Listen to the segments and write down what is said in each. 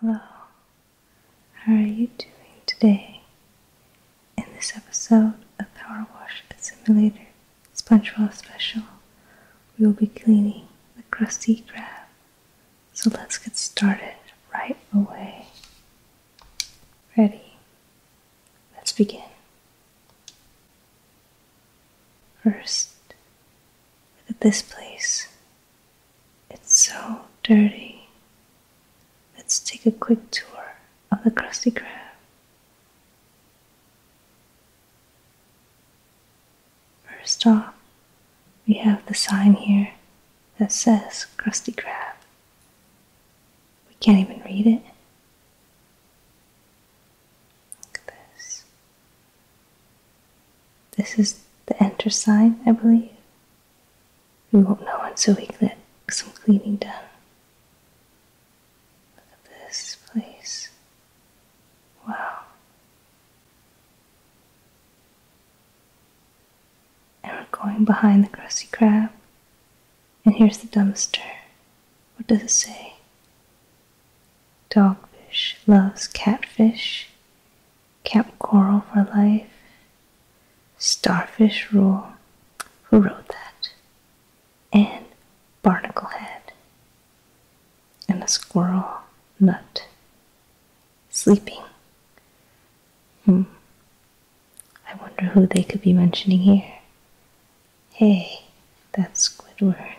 Hello, how are you doing today? In this episode of Power Wash Simulator SpongeBob Special, we will be cleaning the crusty crab. So let's get started right away. Ready? Let's begin. First, look at this place. It's so dirty. Let's take a quick tour of the Krusty Krab. First off, we have the sign here that says Krusty Krab. We can't even read it. Look at this. This is the enter sign, I believe. We won't know until we get some cleaning done. Look at this place. Wow. And we're going behind the Krusty Krab. And here's the dumpster. What does it say? Dogfish loves catfish. Camp Coral for Life, Starfish Rule, who wrote that, and Barnacle Head, and a squirrel nut. Sleeping. Hmm. I wonder who they could be mentioning here. Hey, that's Squidward.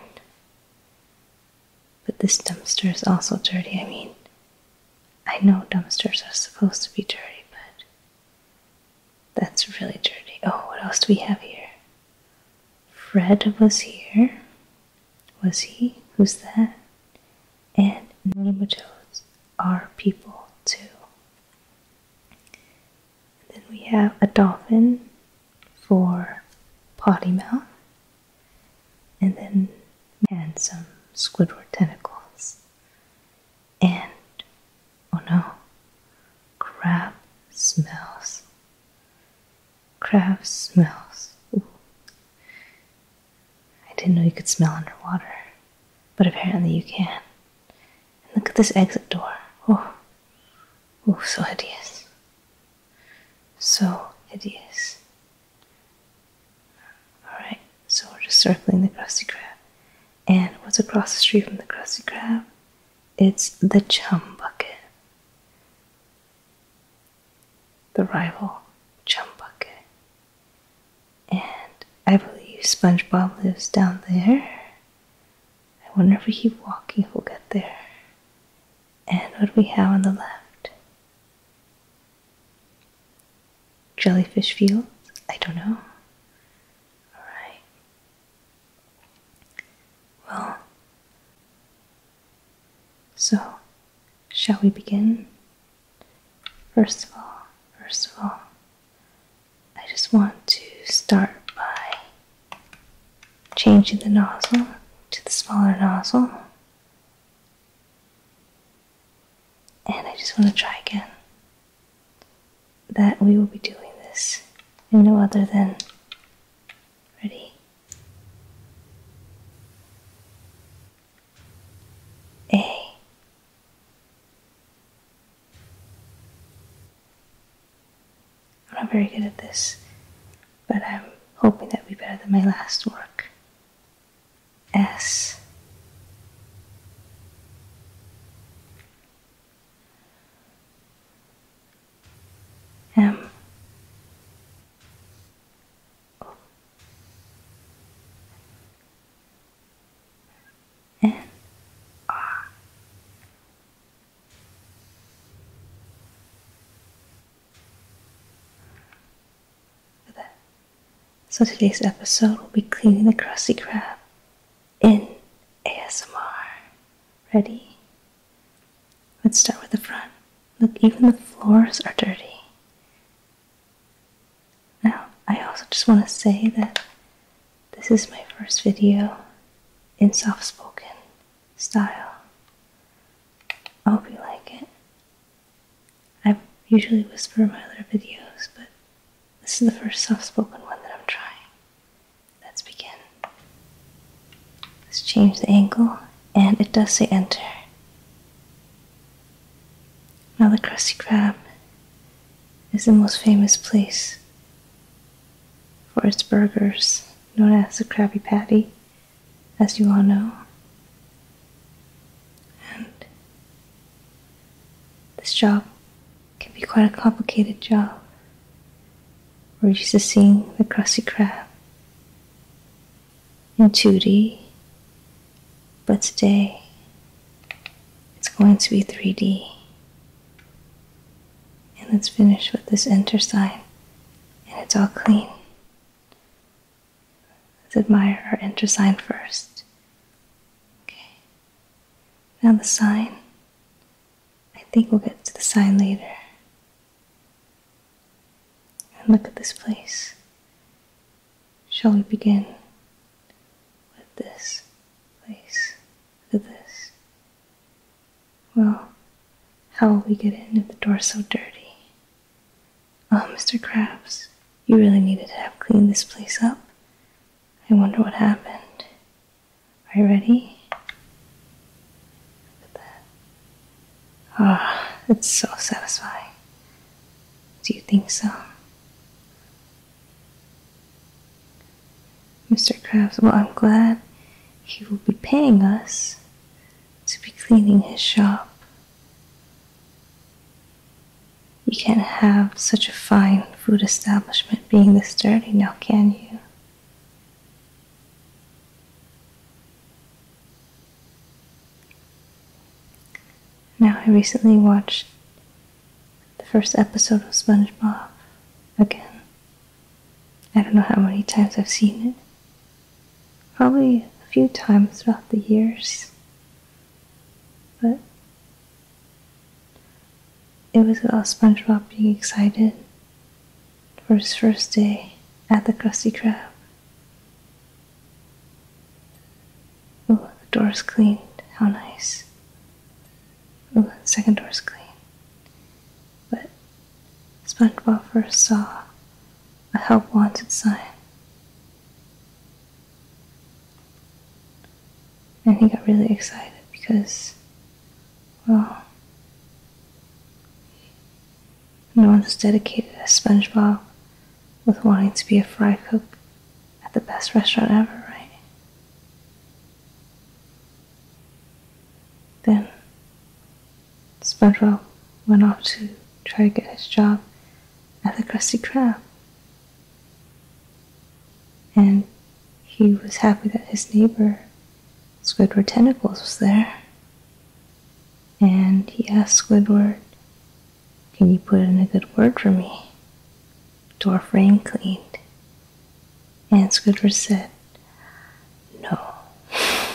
But this dumpster is also dirty. I mean, I know dumpsters are supposed to be dirty, but that's really dirty. Oh, what else do we have here? Fred was here. Was he? Who's that? And nematodes are people too. then we have a dolphin for potty mouth and then and some Squidward tentacles. And oh no, crab smells. Crab smells. Ooh. I didn't know you could smell underwater, but apparently you can. look at this exit door. Oh, oh, so hideous. So hideous. Alright, so we're just circling the Krusty Krab. And what's across the street from the Krusty Krab? It's the Chum Bucket. The rival Chum Bucket. And I believe SpongeBob lives down there. I wonder if he's keep walking, we'll get there. And what do we have on the left? Jellyfish fields? I don't know. Alright. Well, so shall we begin? First of all, first of all, I just want to start by changing the nozzle to the smaller nozzle and I just want to try again that we will be doing this no other than ready A I'm not very good at this, but I'm hoping that will be better than my last work. S M O N R so today's episode will be cleaning the crusty crap in ASMR. Ready? Let's start with the front. Look, even the floors are dirty. Now, I also just want to say that this is my first video in soft spoken style. I hope you like it. I usually whisper in my other videos, but this is the first soft spoken one that I'm trying. Let's begin. Let's change the angle, and it does say enter. Now, the Krusty Krab is the most famous place for its burgers, known as the Krabby Patty, as you all know. And this job can be quite a complicated job. We're used to seeing the crusty Krab in 2D, but today it's going to be 3D. And let's finish with this enter sign, and it's all clean. Let's admire our enter sign first. Okay. Now the sign. I think we'll get to the sign later. And look at this place. Shall we begin with this place? With this. Well, how will we get in if the door's so dirty? Oh, Mr. Krabs, you really needed to have cleaned this place up. I wonder what happened. Are you ready? Look at that. Ah, oh, it's so satisfying. Do you think so? Mr. Krabs, well, I'm glad he will be paying us to be cleaning his shop. You can't have such a fine food establishment being this dirty now, can you? Now, I recently watched the first episode of SpongeBob again. I don't know how many times I've seen it. Probably a few times throughout the years but it was about SpongeBob being excited for his first day at the Krusty Krab. Oh, the door's clean. How nice. Oh, the second door's clean. But SpongeBob first saw a help wanted sign and he got really excited because, well, no one as dedicated as SpongeBob with wanting to be a fry cook at the best restaurant ever, right? Then SpongeBob went off to try to get his job at the Krusty Krab. And he was happy that his neighbor, Squidward Tentacles, was there. And he asked Squidward, Can you put in a good word for me? Dwarf Rain cleaned. And Squidward said, No.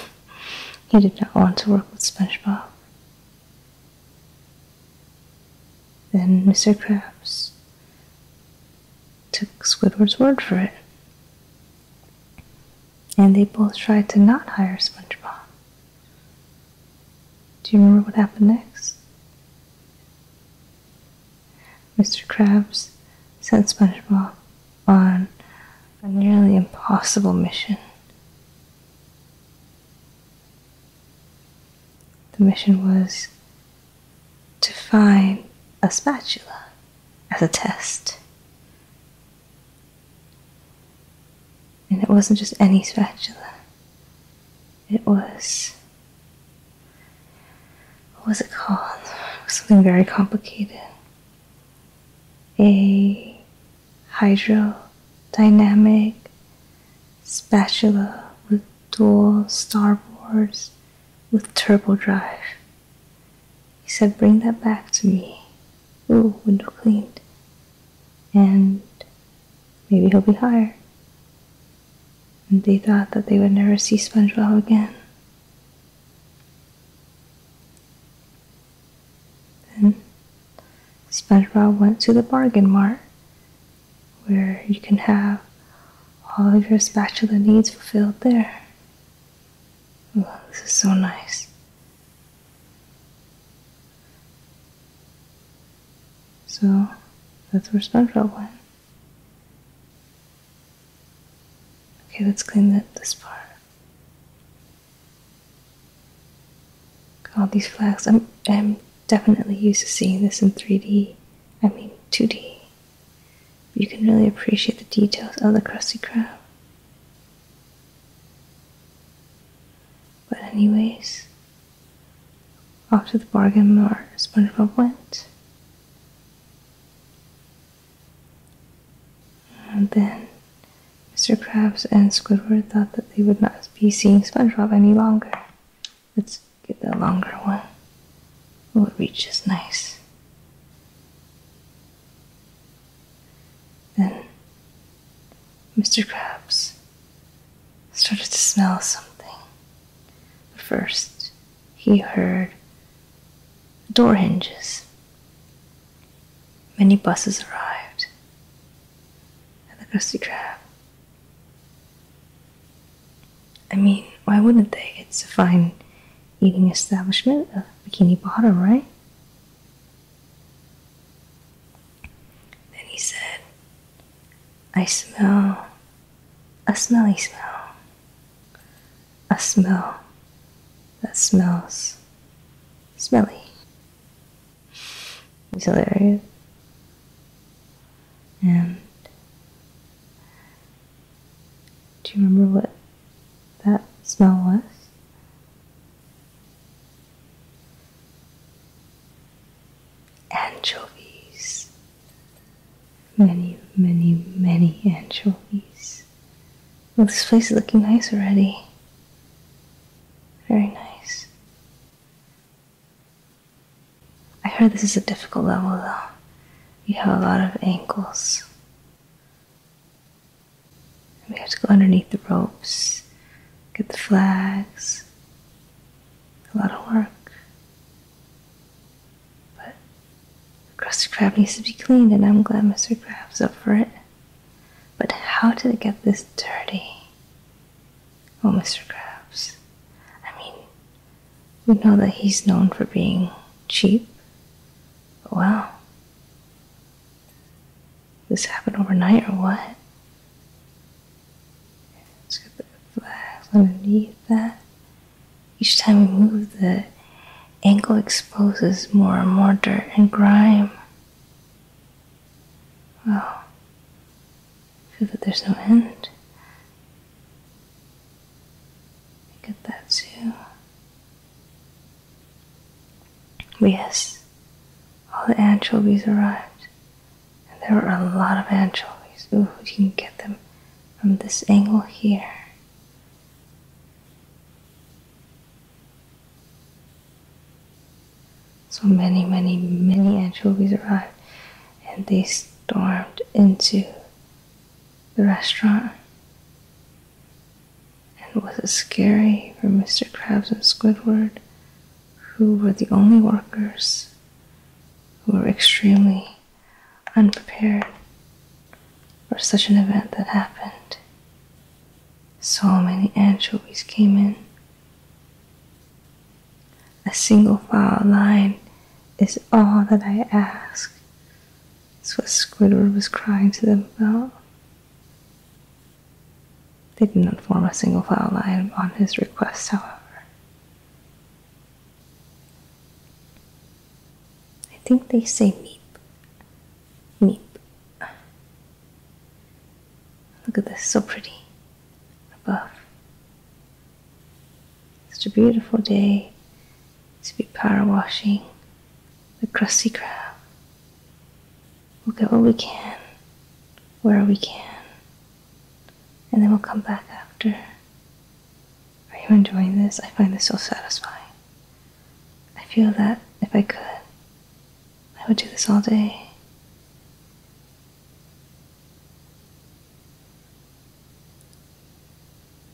he did not want to work with SpongeBob. Then Mr. Krabs took Squidward's word for it. And they both tried to not hire SpongeBob. Do you remember what happened next? Mr. Krabs sent SpongeBob on a nearly impossible mission the mission was to find a spatula as a test. And it wasn't just any spatula. It was. What was it called? something very complicated. A hydrodynamic spatula with dual starboards with turbo drive. He said, Bring that back to me. Ooh, window cleaned. And maybe he'll be hired. And they thought that they would never see SpongeBob again. Then SpongeBob went to the bargain mart where you can have all of your spatula needs fulfilled there. Oh, this is so nice. So that's where SpongeBob went. Okay, let's clean that, this part all these flags. I'm, I'm definitely used to seeing this in 3D, I mean 2D. You can really appreciate the details of the Krusty Krab. But anyways, off to the bargain mart SpongeBob went. And then Mr. Krabs and Squidward thought that they would not be seeing SpongeBob any longer. Let's get the longer one. Oh, it reaches nice. Then Mr. Krabs started to smell something. But first, he heard door hinges. Many buses arrived at the Krusty Krab. I mean, why wouldn't they? It's a fine eating establishment, a bikini bottom, right? Then he said, I smell a smelly smell. A smell that smells smelly. He's hilarious. And do you remember what that smell was? Anchovies. Many, many, many anchovies. Well, this place is looking nice already. Very nice. I heard this is a difficult level though. You have a lot of ankles. We have to go underneath the ropes, get the flags. A lot of work. But the crusty crab needs to be cleaned, and I'm glad Mr. Crab's up for it. But how did it get this dirty? Oh, Mr. Krabs. I mean, we know that he's known for being cheap. Well, This happened overnight or what? Let's get the flags underneath that. Each time we move, the ankle exposes more and more dirt and grime. Wow. Oh. Feel that there's no end. Look at that too. yes, all the anchovies arrived, and there were a lot of anchovies. Ooh, you can get them from this angle here. So many, many, many anchovies arrived and they stormed into the restaurant. And was scary for Mr. Krabs and Squidward, who were the only workers who were extremely unprepared for such an event that happened? So many anchovies came in a single file line is all that I ask. That's what Squidward was crying to them about. They did not form a single file line on his request, however. I think they say meep. Meep. Look at this, so pretty above. Such a beautiful day to be power washing the crusty crab. We'll get what we can, where we can, and then we'll come back after. Are you enjoying this? I find this so satisfying. I feel that if I could, I would do this all day.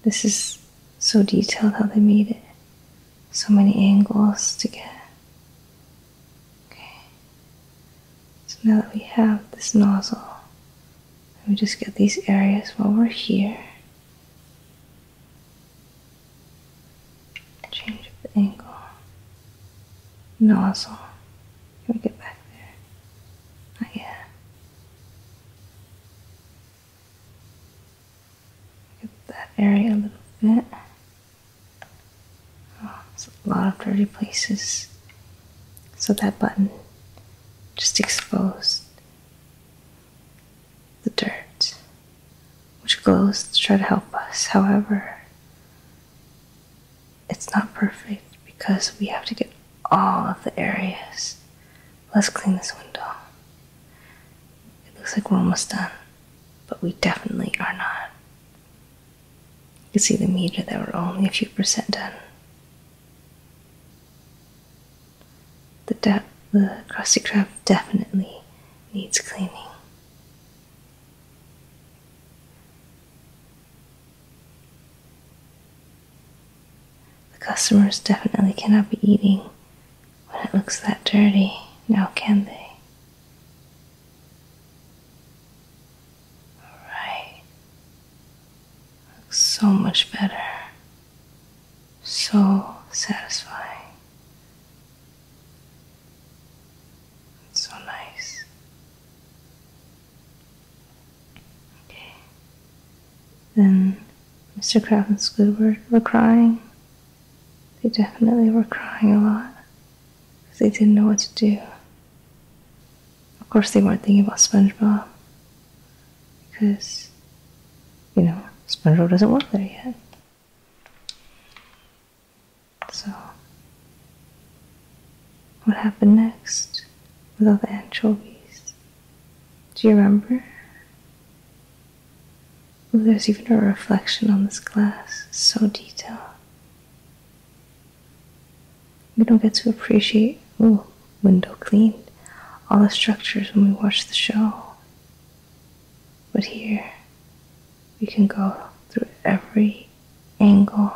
This is so detailed how they made it. So many angles to get. Okay. So now that we have this nozzle, let me just get these areas while we're here. Change the angle. Nozzle. Can we get back there? Not yet. Look at that area a little bit. Oh, it's a lot of dirty places. So that button just exposed the dirt, which glows to try to help us. However, it's not perfect because we have to get all of the areas. Let's clean this window. It looks like we're almost done, but we definitely are not. You see the meter There, we're only a few percent done. The, de- the Krusty Krab definitely needs cleaning. The customers definitely cannot be eating when it looks that dirty, now can they? Alright. Looks so much better. So satisfying. It's so nice. Okay. Then Mr. Crab and Squidward were crying. They definitely were crying a lot because they didn't know what to do. Of course, they weren't thinking about SpongeBob because, you know, SpongeBob doesn't work there yet. So, what happened next with all the anchovies? Do you remember? Ooh, there's even a reflection on this glass, so detailed. We don't get to appreciate, ooh, window cleaned, all the structures when we watch the show. But here, we can go through every angle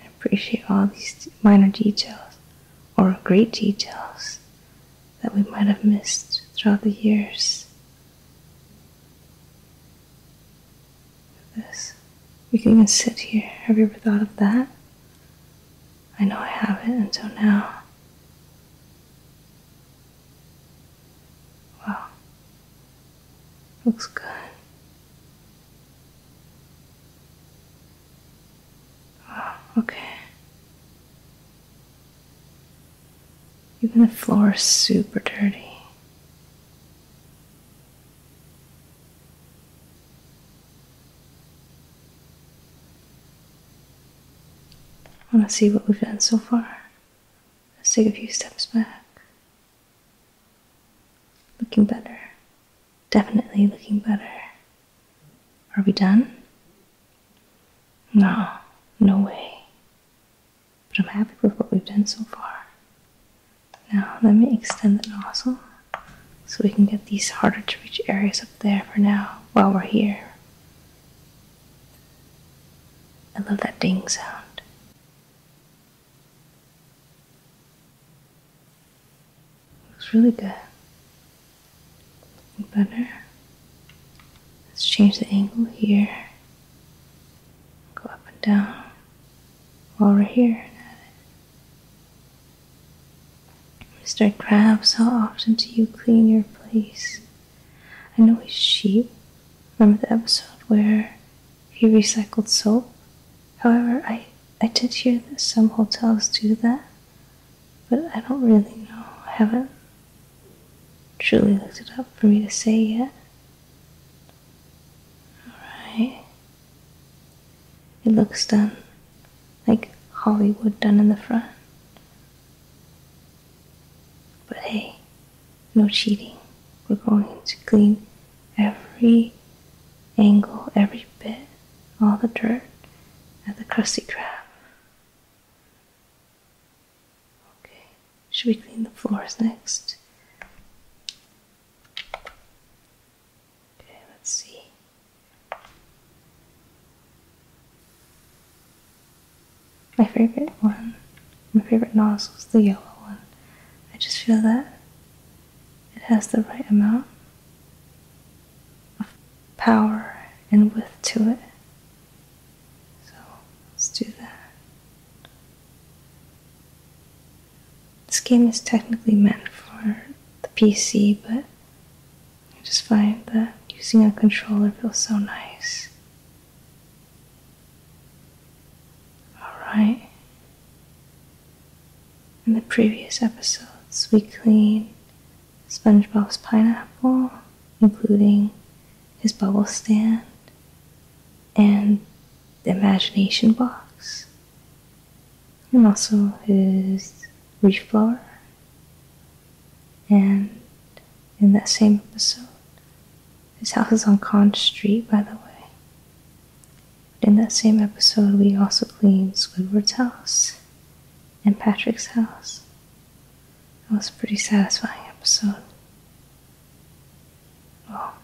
and appreciate all these minor details or great details that we might have missed throughout the years. This. We can even sit here. Have you ever thought of that? I know I haven't until now. Wow. Looks good. okay. Even the floor is super dirty. I want to see what we've done so far. Let's take a few steps back. Looking better. Definitely looking better. Are we done? No, no way. But I'm happy with what we've done so far. Now, let me extend the nozzle so we can get these harder to reach areas up there for now while we're here. I love that ding sound. Looks really good. Better. Let's change the angle here. Go up and down while we're here. Mr. Crabs, how often do you clean your place? I know he's sheep. Remember the episode where he recycled soap. However, I, I did hear that some hotels do that, but I don't really know. I haven't truly looked it up for me to say yet. Alright. It looks done. Like Hollywood done in the front. But hey, no cheating. We're going to clean every angle, every bit, all the dirt at the Krusty Krab. Okay, should we clean the floors next? Okay, let's see. My favorite one, my favorite nozzle is the yellow one. I just feel that it has the right amount of power and width to it. So let's do that. This game is technically meant for the PC, but I just find that using a controller feels so nice. Alright. In the previous episodes, we cleaned SpongeBob's pineapple, including his bubble stand and the imagination box, and also his leaf blower. And in that same episode, his house is on Conch Street, by the way. In that same episode, we also cleaned Squidward's house and Patrick's house. It was a pretty satisfying episode. Well,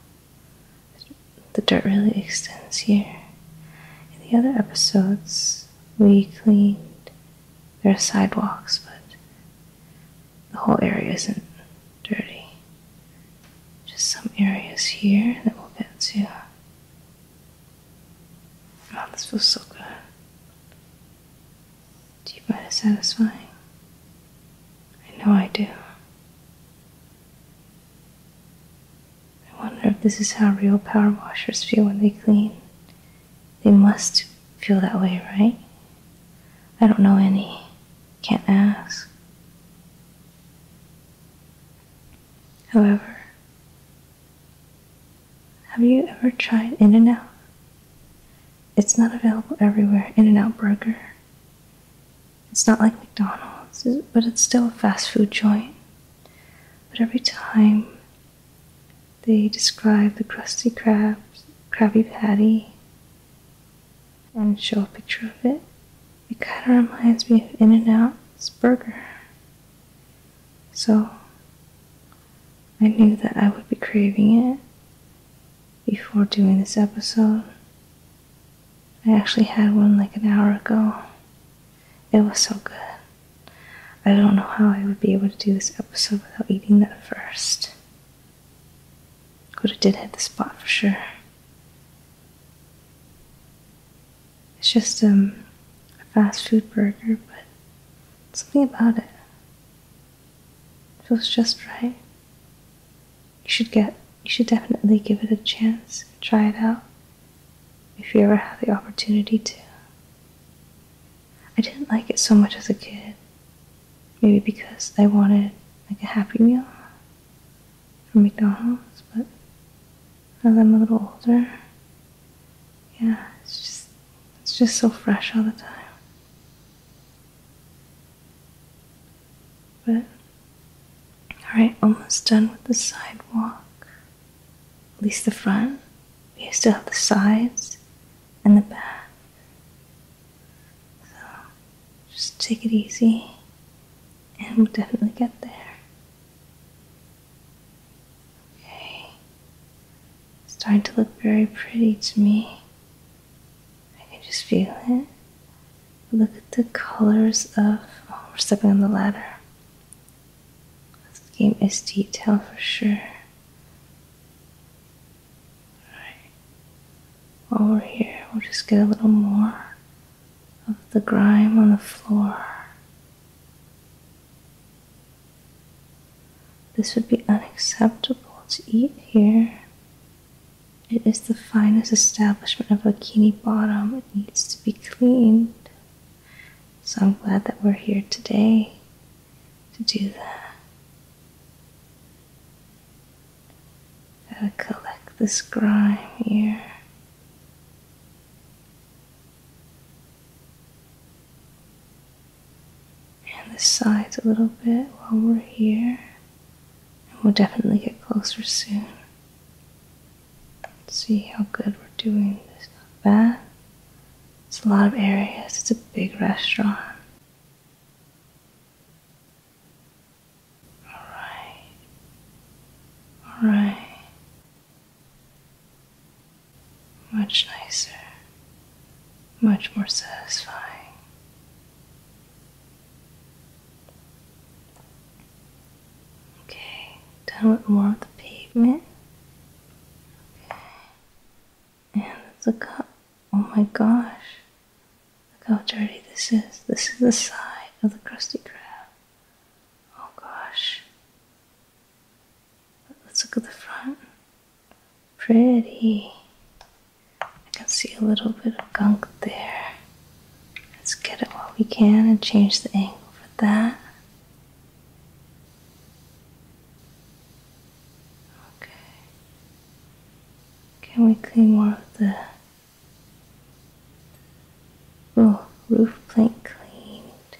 the dirt really extends here. In the other episodes, we cleaned their sidewalks, but the whole area isn't dirty. Just some areas here that we'll get to. Oh, this feels so good. Do you find it satisfying? I know I do. I wonder if this is how real power washers feel when they clean. They must feel that way, right? I don't know any. Can't ask. However, have you ever tried In N Out? It's not available everywhere, In N Out Burger. It's not like McDonald's, but it's still a fast food joint. But every time they describe the crusty crab, crabby Patty, and show a picture of it. It kind of reminds me of In N Out's burger. So I knew that I would be craving it before doing this episode. I actually had one like an hour ago. It was so good. I don't know how I would be able to do this episode without eating that first. Could have did hit the spot for sure. It's just um, a fast food burger, but something about it feels just right. You should get, you should definitely give it a chance, try it out, if you ever have the opportunity to. I didn't like it so much as a kid, maybe because I wanted like a happy meal from McDonald's, but as I'm a little older, yeah, it's just it's just so fresh all the time. But alright, almost done with the sidewalk. At least the front. We still have the sides and the back. So just take it easy, and we'll definitely get there. Okay. starting to look very pretty to me. I can just feel it. Look at the colors of. Oh, we're stepping on the ladder. This game is detailed for sure. All right. While we're here, we'll just get a little more of the grime on the floor. This would be unacceptable to eat here. It is the finest establishment of Bikini Bottom. It needs to be cleaned. So I'm glad that we're here today to do that. Gotta collect this grime here. And the sides a little bit while we're here. And we'll definitely get closer soon. let see how good we're doing. This not bad. It's a lot of areas. It's a big restaurant. All right. All right. Much nicer. Much more satisfying. Okay, done with more of the pavement. Okay. And it's cup. Oh my gosh. Look how dirty this is. This is the side of the crusty crab. Oh gosh. Let's look at the front. Pretty. I can see a little bit of gunk there. Let's get it while we can and change the angle for that. Okay. Can we clean more of the Oh, roof plank cleaned.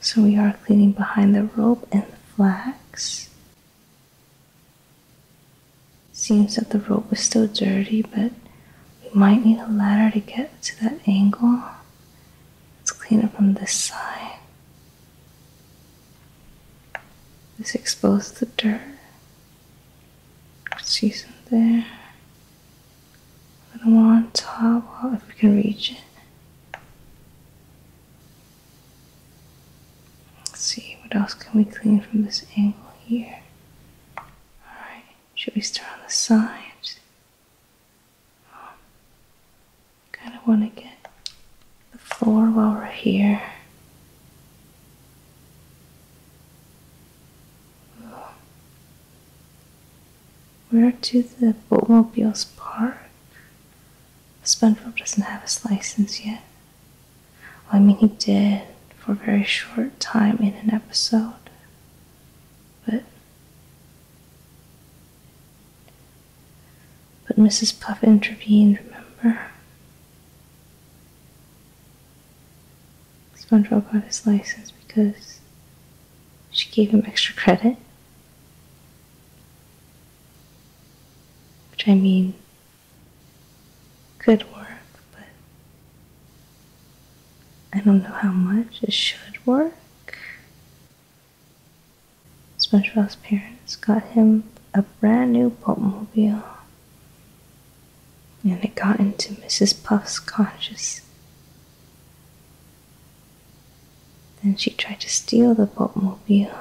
So we are cleaning behind the rope and the flax. Seems that the rope is still dirty, but we might need a ladder to get to that angle. Let's clean it from this side. Let's expose the dirt. See some there. A little more on top, well, if we can reach it. Let's see, what else can we clean from this angle here? Alright, should we start on the sides? Oh, um, kind of want to get the floor while we're here. We're to the Boatmobiles Park. Sponfield doesn't have his license yet. I mean, he did for a very short time in an episode. But but Mrs. Puff intervened, remember? SpongeBob got his license because she gave him extra credit. Which I mean, could work, but I don't know how much it should work. SpongeBob's parents got him a brand new boatmobile, and it got into Mrs. Puff's conscience. Then she tried to steal the boatmobile,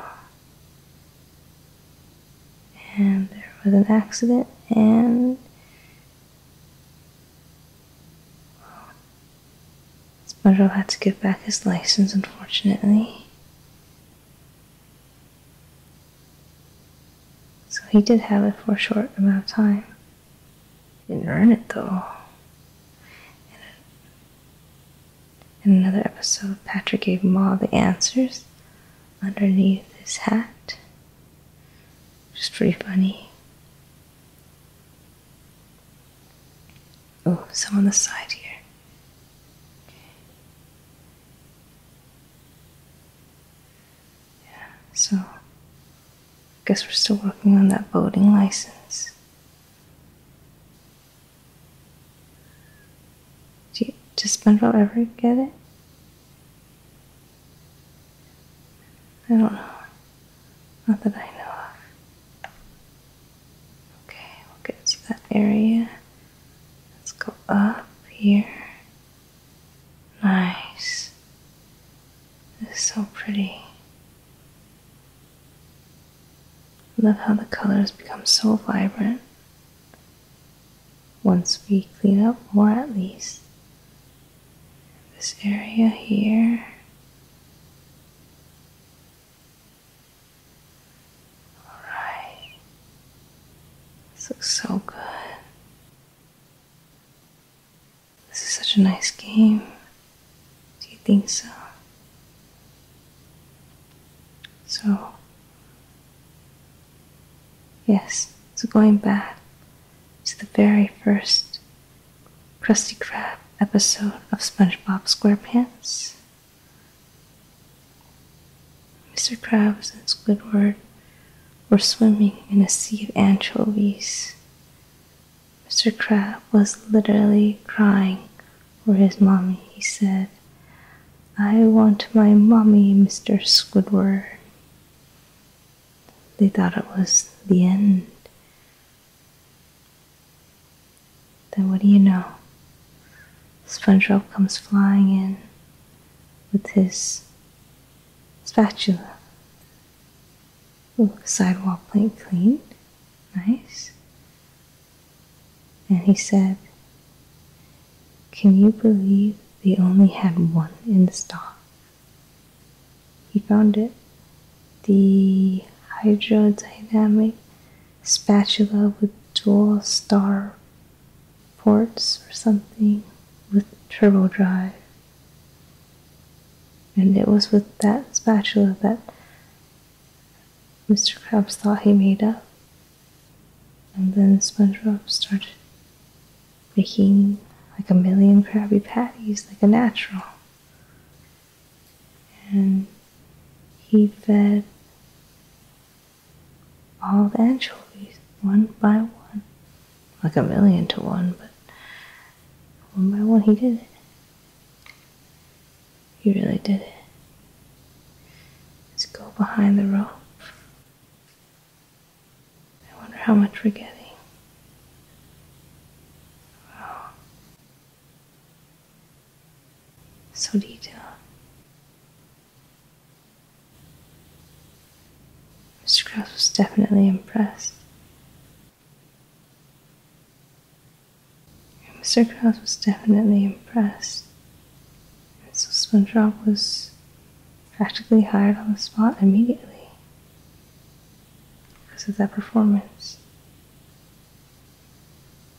and there was an accident, and SpongeBob had to give back his license, unfortunately. So he did have it for a short amount of time. didn't earn it though. In another episode, Patrick gave Ma the answers underneath his hat, which is pretty funny. Oh, some on the side here. Yeah, so I guess we're still working on that voting license. Do you, does Spindle ever get it? I don't know. Not that I know of. Okay, we'll get to that area. Let's go up here. Nice. This is so pretty. Love how the colors become so vibrant once we clean up more at least. This area here. All right. This looks so good. This is such a nice game. Do you think so? So, yes, so going back to the very first Krusty Krab episode of SpongeBob SquarePants. Mr. Krabs and Squidward were swimming in a sea of anchovies. Mr. Crab was literally crying for his mommy. He said, I want my mommy, Mr. Squidward. They thought it was the end. Then what do you know? SpongeBob comes flying in with his spatula. Ooh, sidewalk plate clean. Nice. And he said, Can you believe they only had one in the stock? He found it. The hydrodynamic spatula with dual star ports or something with turbo drive. And it was with that spatula that Mr. Krabs thought he made up. And then SpongeBob started making like a million Krabby Patties, like a natural. And he fed all the anchovies one by one. Like a million to one, but one by one he did it. He really did it. Let's go behind the rope. I wonder how much we're getting. Wow so detailed. Mr. Cross was definitely impressed. Mr. Cross was definitely impressed. And so SpongeBob was practically hired on the spot immediately because of that performance.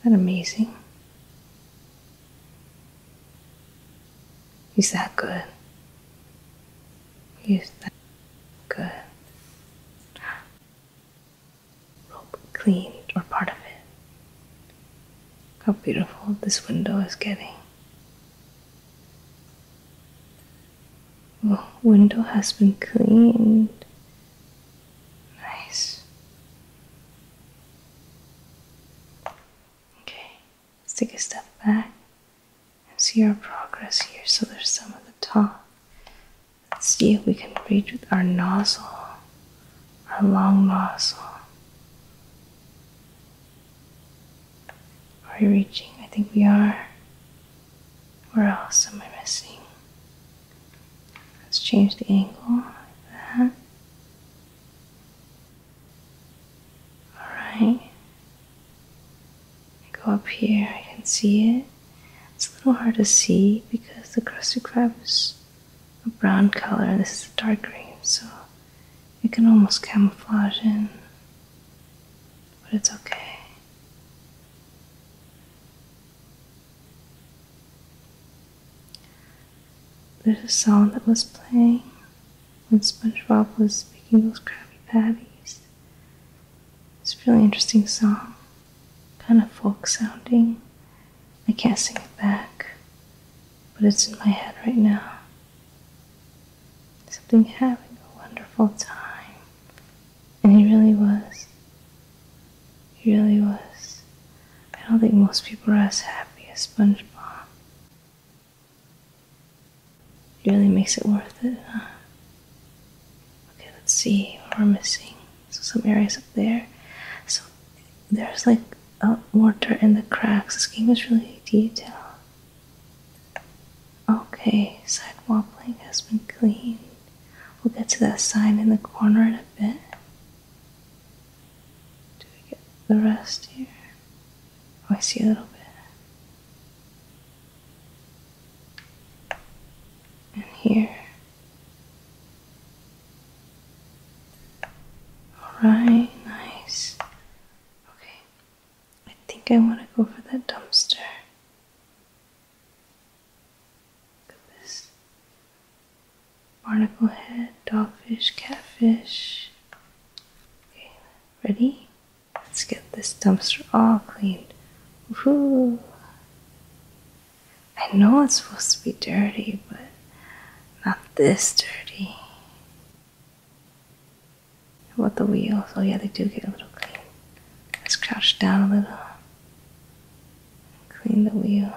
Isn't that amazing? He's that good. He's that good. Rope cleaned or part of it. how beautiful this window is getting. Well, window has been cleaned. Nice. Okay, let's take a step back and see our progress here. So there's some at the top. Let's see if we can reach with our nozzle, our long nozzle. Are we reaching? I think we are. Where else am I missing? Let's change the angle like that. Alright. go up here, I can see it. It's a little hard to see because the crusted crab is a brown color and this is a dark green, so it can almost camouflage in. But it's okay. There's a song that was playing when SpongeBob was making those Krabby Patties. It's a really interesting song, kind of folk sounding. I can't sing it back, but it's in my head right now. Something having a wonderful time. And he really was. He really was. I don't think most people are as happy as SpongeBob. It really makes it worth it, huh? Okay, let's see what we're missing. So some areas up there. So there's like uh, in the cracks. This game is really detailed. Okay, sidewall plank has been cleaned. We'll get to that sign in the corner in a bit. Do we get the rest here? Oh, I see a little bit. And here. Alright, nice. Okay, I think I want to go for that dumpster. Look barnacle head, dogfish, catfish. Okay, ready? Let's get this dumpster all cleaned. Woohoo! I know it's supposed to be dirty, but not this dirty. How about the wheels? Oh yeah, they do get a little clean. Let's crouch down a little. Clean the wheel.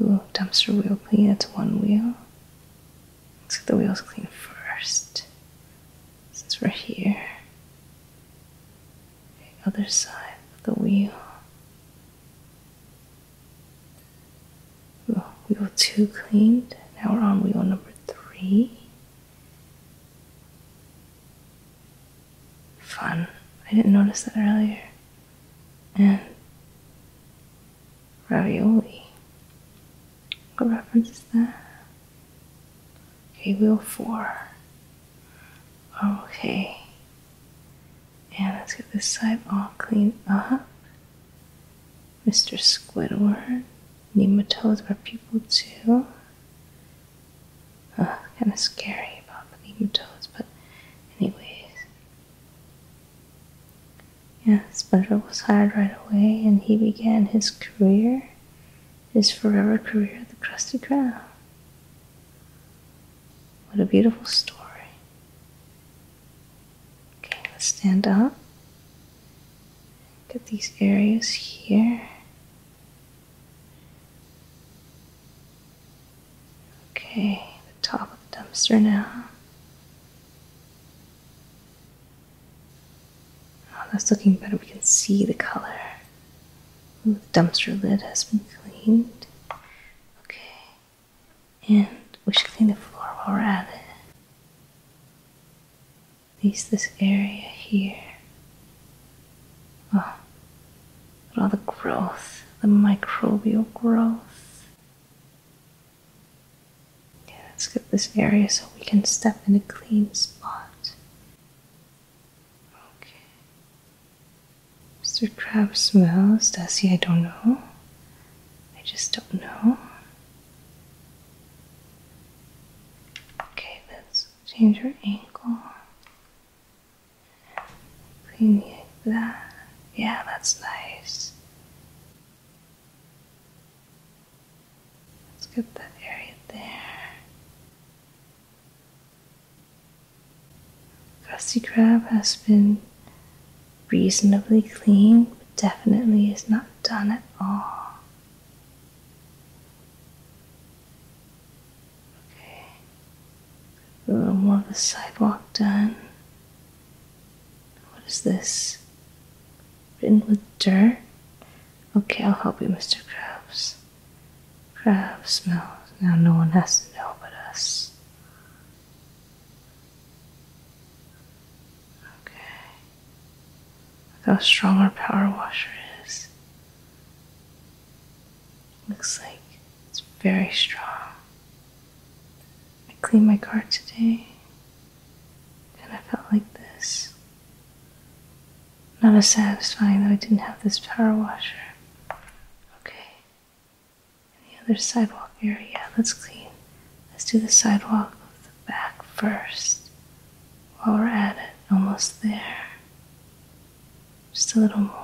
Ooh, dumpster wheel clean, that's one wheel. Let's get the wheels clean first. Since we're here. other side of the wheel. wheel two cleaned. Now we're on wheel number three fun. I didn't notice that earlier. And ravioli. What reference is that? Okay, wheel four. Okay. And let's get this side all cleaned up. Mr. Squidward. Nematodes are people too. Ah, kind of scary about the nematodes, but anyways. Yeah, SpongeBob was hired right away and he began his career, his forever career at the Krusty Ground. What a beautiful story. Okay, let's stand up. Get these areas here. Okay, the top of the dumpster now. Oh, that's looking better. We can see the color. the dumpster lid has been cleaned. Okay, and we should clean the floor while we're at it. At least this area here. Oh, all the growth, the microbial growth. Yeah, let's get this area so we can step in a clean spot. Okay. Mr. Crab smells. Does he? I don't know. I just don't know. Okay, let's change your angle. Clean that. Yeah, that's nice. Let's get that area there. rusty crab has been reasonably clean, but definitely is not done at all. Okay. A little more of the sidewalk done. What is this? Written with dirt? Okay, I'll help you, Mr. Krabs. Crab smells. Now no one has to know but us. Okay. how strong our power washer is. Looks like it's very strong. I cleaned my car today and I felt like this. Not as satisfying though I didn't have this power washer. Okay. the other sidewalk area. Let's clean. Let's do the sidewalk back first. While we're at it, almost there. Just a little more.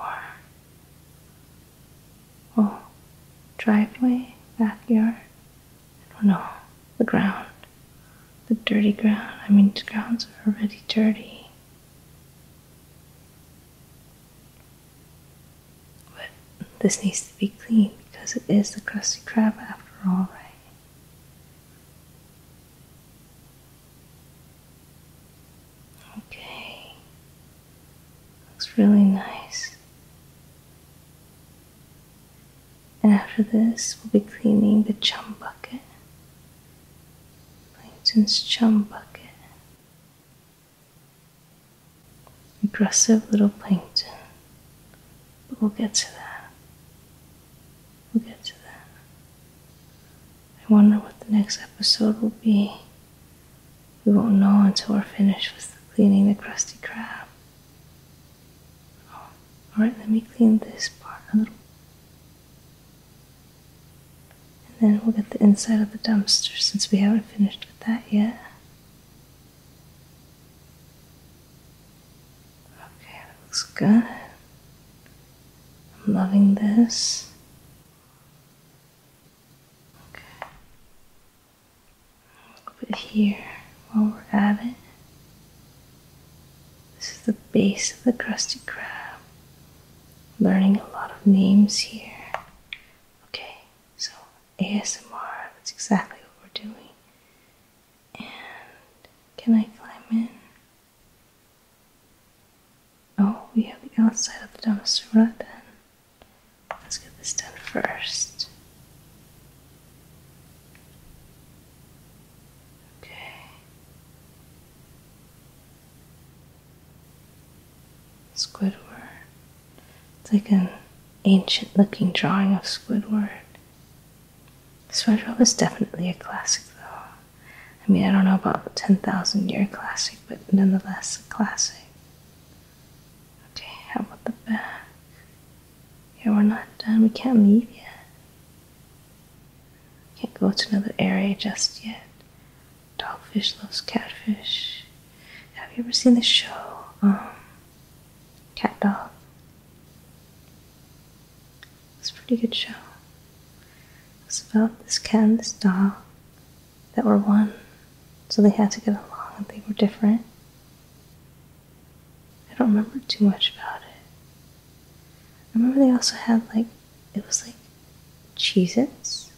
Oh, driveway, backyard. I don't know. The ground. The dirty ground. I mean, the grounds are already dirty. But this needs to be clean because it is the Krusty Krab after all, right? Okay. Looks really nice. And after this, we'll be cleaning the chum bucket. Plankton's chum bucket. Aggressive little plankton. But we'll get to that. We'll get to that. I wonder what the next episode will be. We won't know until we're finished with cleaning the crusty crab. Oh, alright, let me clean this part a little. And then we'll get the inside of the dumpster since we haven't finished with that yet. Okay, that looks good. I'm loving this. Okay. A little bit here while we're at it. This is the base of the crusted crab. Learning a lot of names here. Okay, so ASMR, that's exactly what we're doing. And can I climb in? Oh, we have the outside of the dumpster. Right then, let's get this done first. Okay. Squidward. It's like an ancient looking drawing of Squidward. Squidward was definitely a classic though. I mean, I don't know about 10,000 year classic, but nonetheless, a classic. Okay, how about the back? Yeah, we're not done. We can't leave yet. Can't go to another area just yet. Dogfish loves catfish. Have you ever seen the show? Um, cat Dog. It's a pretty good show. It's about this cat and this dog that were one, so they had to get along and they were different. I don't remember too much about it. I remember they also had like it was like Cheez Its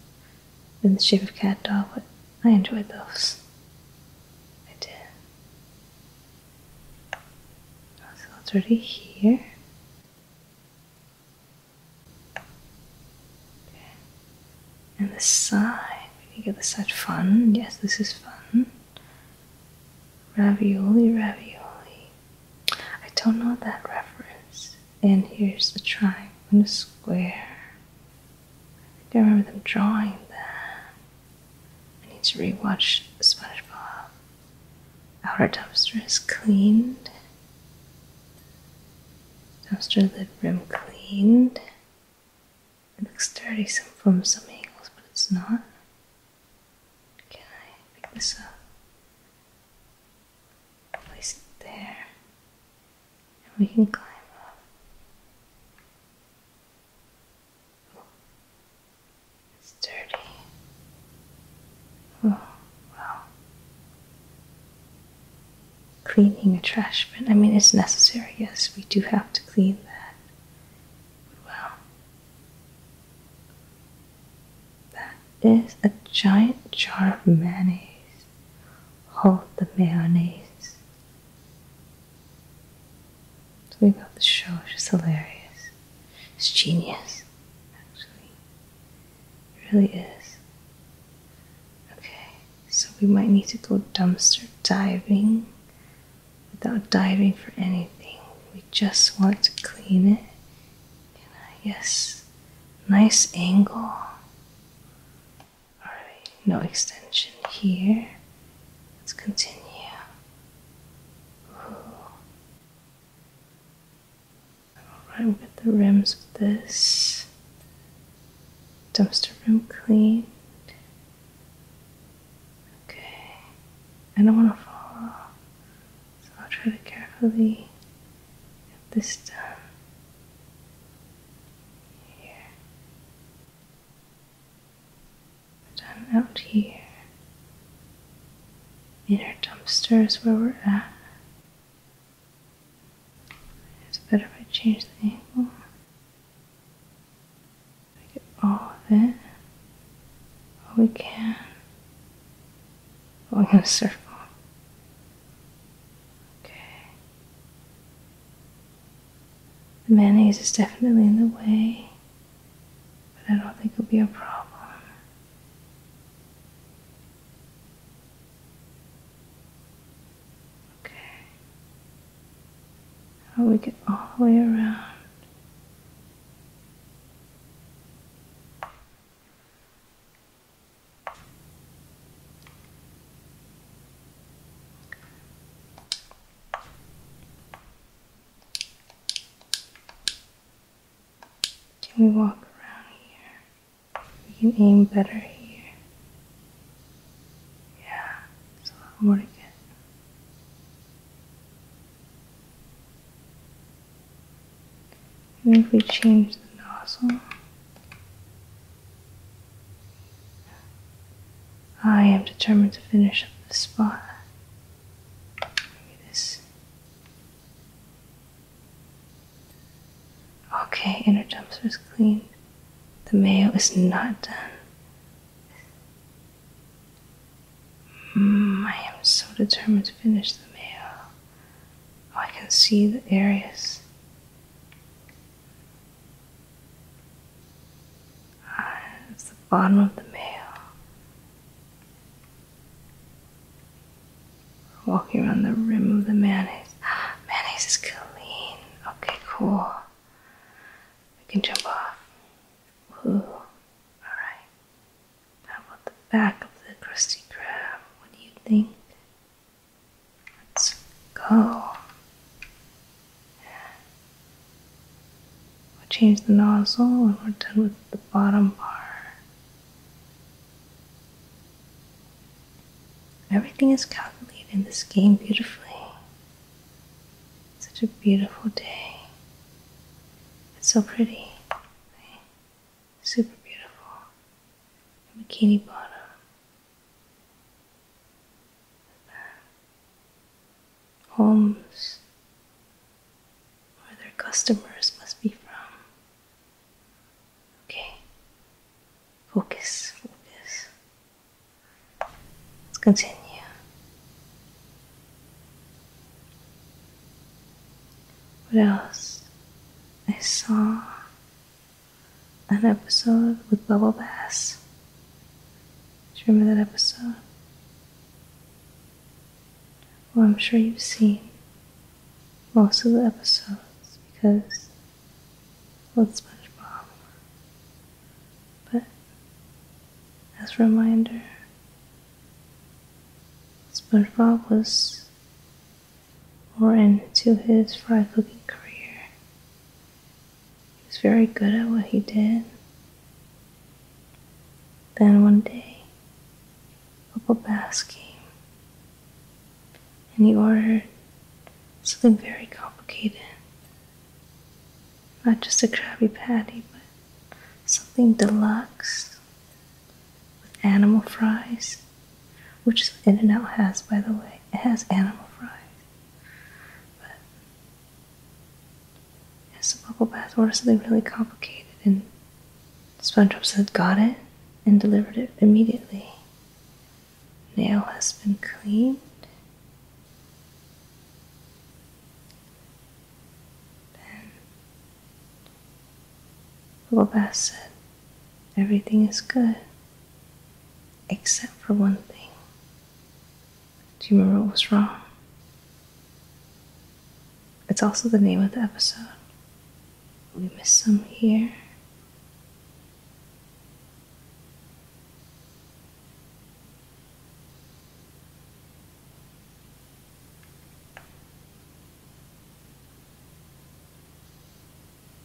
in the shape of cat dog, but I enjoyed those. I did. So it's already here. And the side, you get the side fun. Yes, this is fun. Ravioli, ravioli. I don't know that reference. And here's a triangle and a square. I don't remember them drawing that. I need to rewatch SpongeBob. Outer dumpster is cleaned. Nostril the rim cleaned. It looks dirty some, from some angles, but it's not. Can I pick this up? Place it there. And we can climb up. it's dirty. Oh well, cleaning a trash bin. I mean, it's necessary, yes, we do have to clean that. Well, that is a giant jar of mayonnaise. Hold the mayonnaise. So we love the show, it's just hilarious. It's genius, actually. It really is. Okay, so we might need to go dumpster diving without diving for anything. We just want to clean it. Can I? Uh, yes. Nice angle. Alright, no extension here. Let's continue. All right, we get the rims of this. Dumpster room cleaned. Okay. I don't want to fall off, so I'll try to carefully get this done. Here. Done out here. Inner dumpster is where we're at. It's better if I change the angle. I get all of it. All we can. Going in circle. Okay. The mayonnaise is definitely in the way, but I don't think it'll be a problem. Okay. we get all the way around. Can we walk around here? We can aim better here. Yeah, it's a lot more to get. we change the nozzle, I am determined to finish up this spot. Maybe this Okay, inner jumpsuit is clean. The mayo is not done. Mm, I am so determined to finish the mayo. Oh, I can see the areas. Ah, it's the bottom of the mayo walking around the rim of the mayonnaise. mayonnaise is clean. Okay, cool. We can jump off. Woo. Alright. How about the back of the Krusty Krab? What do you think? Let's go. We'll change the nozzle and we're done with the bottom part. Everything is calculated in this game beautifully. Such a beautiful day. It's so pretty. Super beautiful. bikini bottom. Homes where their customers must be from. Okay, Focus, focus. Let's continue. What else? I saw an episode with Bubble Bass. Do you remember that episode? Well, I'm sure you've seen most of the episodes because with SpongeBob. But as a reminder, SpongeBob was born into his fry cooking career. He was very good at what he did. Then one day, Bubble Bass came and you ordered something very complicated. Not just a Krabby Patty, but something deluxe with animal fries, which In N Out has, by the way. has animal fries. But it a bubble bath order something really complicated, and SpongeBob said, Got it, and delivered it immediately nail has been cleaned. Then Baba said, Everything is good except for one thing. Do you remember what was wrong? It's also the name of the episode we miss some here.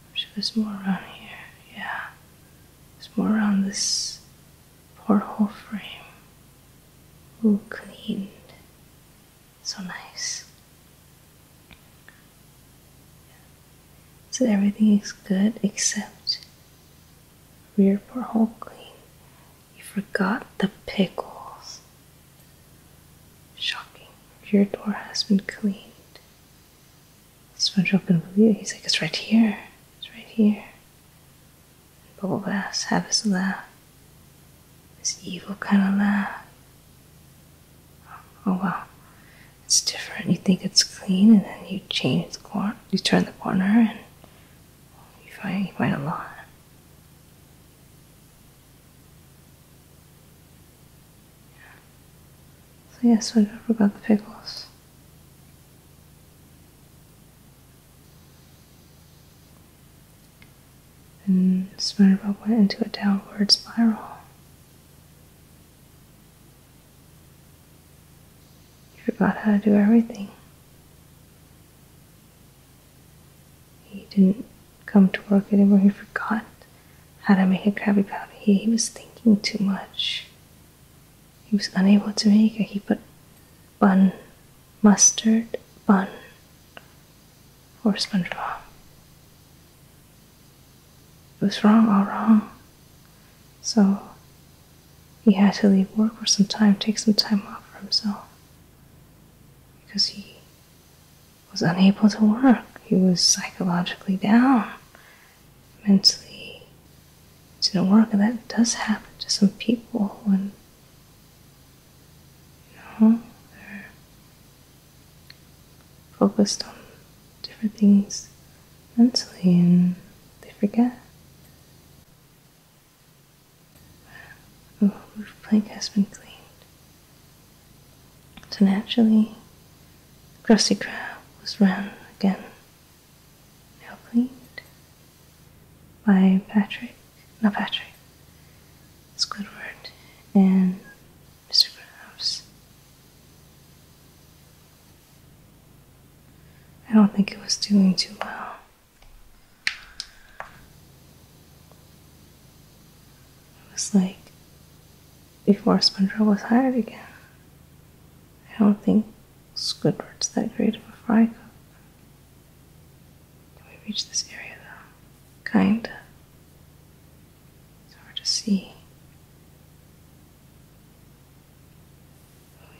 I'm sure there's more around here. Yeah, there's more around this porthole frame. Ooh, cleaned. So nice. So everything is good except rear porthole clean. You forgot the pickles. Shocking. Your door has been cleaned. SpongeBob couldn't believe it. He's like, it's right here. It's right here. And Bubble Bass laugh. This evil kind of laugh oh well, it's different. You think it's clean, and then you change the corner, you turn the corner, and you find quite a lot. So yes, I never got the pickles. And Smirnov went into a downward spiral. He forgot how to do everything. He didn't come to work anymore. He forgot how to make a Krabby Patty. He, he was thinking too much. He was unable to make it. He put bun, mustard, bun, or SpongeBob. It was wrong all wrong. So he had to leave work for some time, take some time off for himself. Because he was unable to work. He was psychologically down, mentally didn't work, and that does happen to some people when you know they focused on different things mentally and they forget. The roof plank has been cleaned. So naturally, the crusty crab was round again, now cleaned by Patrick, not Patrick, Squidward, and Mr. Krabs. I don't think it was doing too well. It was like before Spongebob was hired again. I don't think Squidward's that great of a fry cook. Can we reach this area though? Kinda. It's hard to see.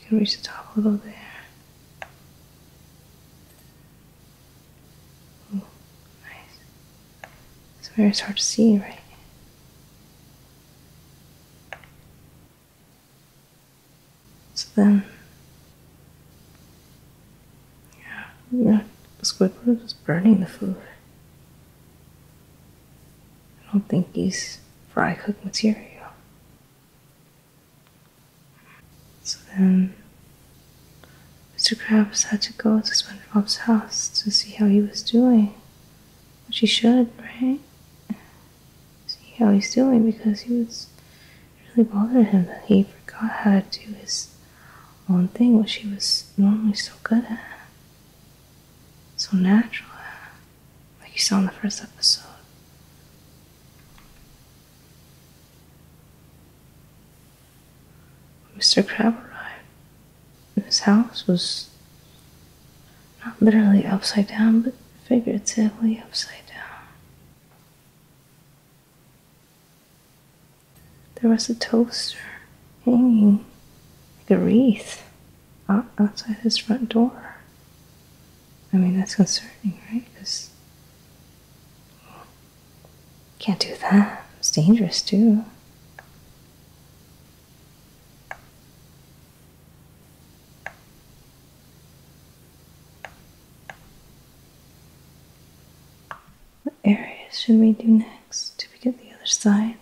We can reach the top a little there. nice. It's very hard to see, right? So then, yeah, yeah Squidward was burning the food. I don't think he's fry cook material. So then, Mr. Krabs had to go to SpongeBob's house to see how he was doing. Which he should, right? See how he's doing because he was really bothered him that he forgot how to do his own thing, which he was normally so good at so natural, like you saw in the first episode. Mr. Crab arrived, his house was not literally upside down, but figuratively upside down. There was a toaster hanging like a wreath outside his front door. I mean, that's concerning, right? Because can't do that. It's dangerous, too. What areas should we do next to get the other side?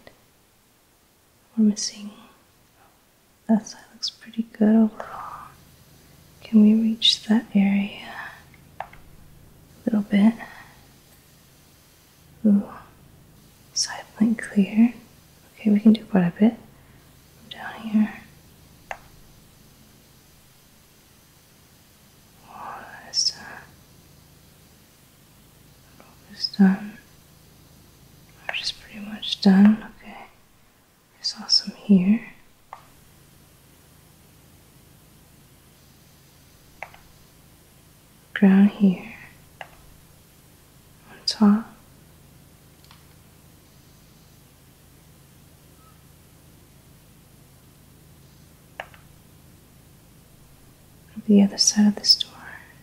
We're missing. That side looks pretty good overall. Can we reach that area a little bit? Ooh, side plane clear. Okay, we can do quite a bit down here. Oh, that's, uh, almost done. I'm just pretty much done. Okay, I saw some here. Ground here. On top the other side of this door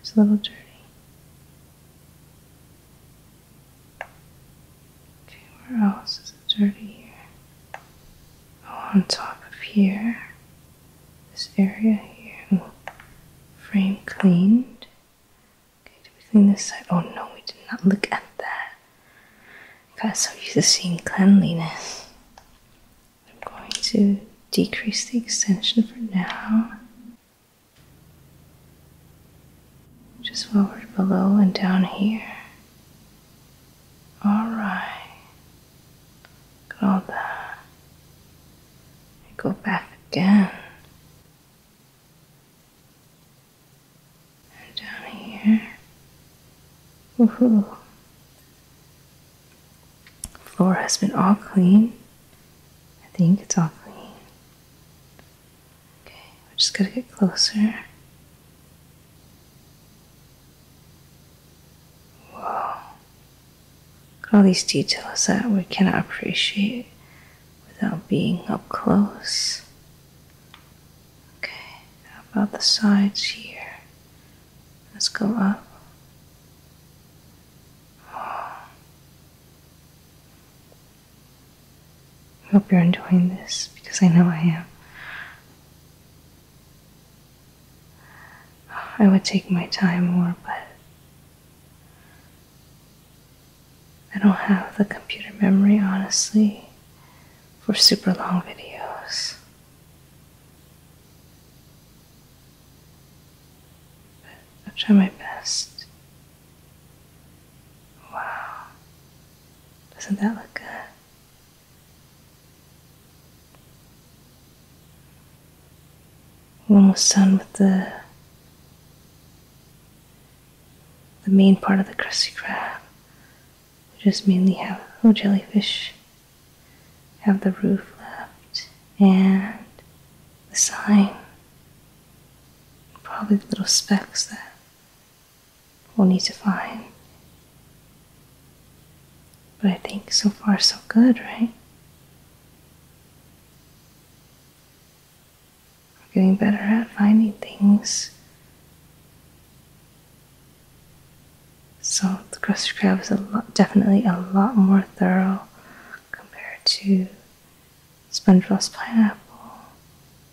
is a little dirty. Okay, where else is it dirty here? Oh, on top of here, this area here, frame cleaned. Okay, did we clean this side? Oh no, we did not look at that. I got so used to seeing cleanliness. I'm going to decrease the extension for now. Just forward below and down here. Alright. Got all that. go back again. down here. Woohoo. Floor has been all clean. I think it's all clean. Okay, we're just gonna get closer. Whoa. all these details that we cannot appreciate without being up close. Okay, how about the sides here? Let's go up. I hope you're enjoying this because I know I am. I would take my time more, but I don't have the computer memory, honestly, for super long videos. I'll try my best. Wow. Doesn't that look good? almost done with the the main part of the Krusty crab. We just mainly have little oh, jellyfish. Have the roof left and the sign. Probably the little specks there. we'll need to find. But I think so far so good, right? We're getting better at finding things. So the crusty crab was definitely a lot more thorough, compared to SpongeBob's Pineapple,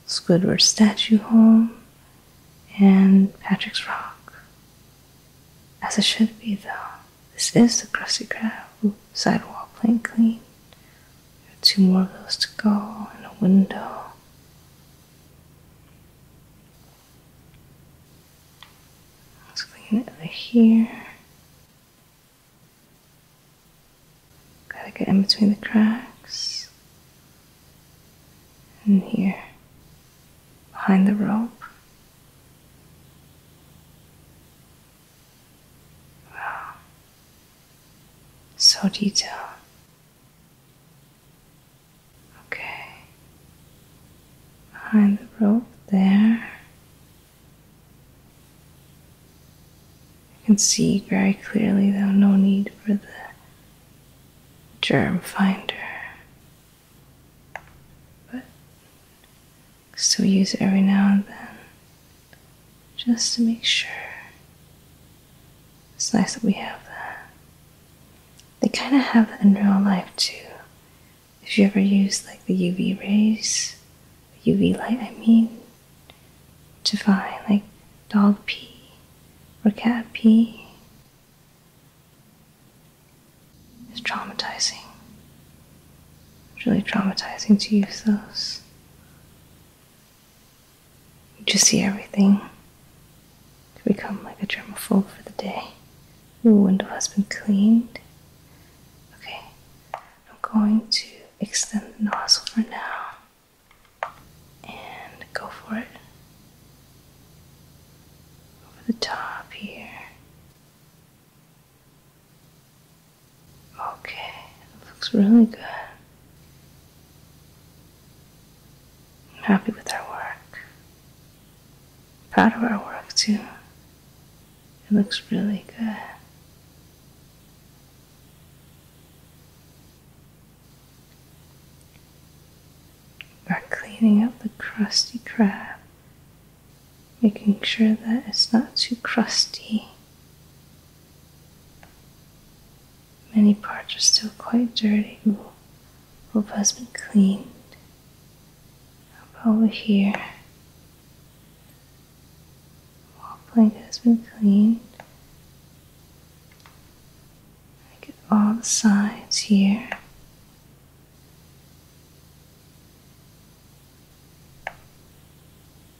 Squidward's Statue Home, and Patrick's Rock. As it should be, though, this is the Krusty Krab Ooh, sidewall plank clean. Two more of those to go, and a window. Let's clean it over here. Gotta get in between the cracks. And here. Behind the rope. Wow. So detailed. Okay. Behind the rope there. You can see very clearly, though, no need for the germ finder. But still use it every now and then just to make sure. It's nice that we have that. They kind of have that in real life too if you ever use like the UV rays, UV light, I mean, to find like dog pee or cat pee, it's traumatizing. It's really traumatizing to use those. You see everything. You become like a germaphobe for the day. The window has been cleaned. Okay, I'm going to extend the nozzle for now and go for it over the top here. Okay, it looks really good. I'm happy with our work. Proud of our work too. It looks really good. We're cleaning up the crusty crab, making sure that it's not too crusty. Many parts are still quite dirty. Ooh, hope has been cleaned. Up over here wall plank has been cleaned. Look at all the sides here.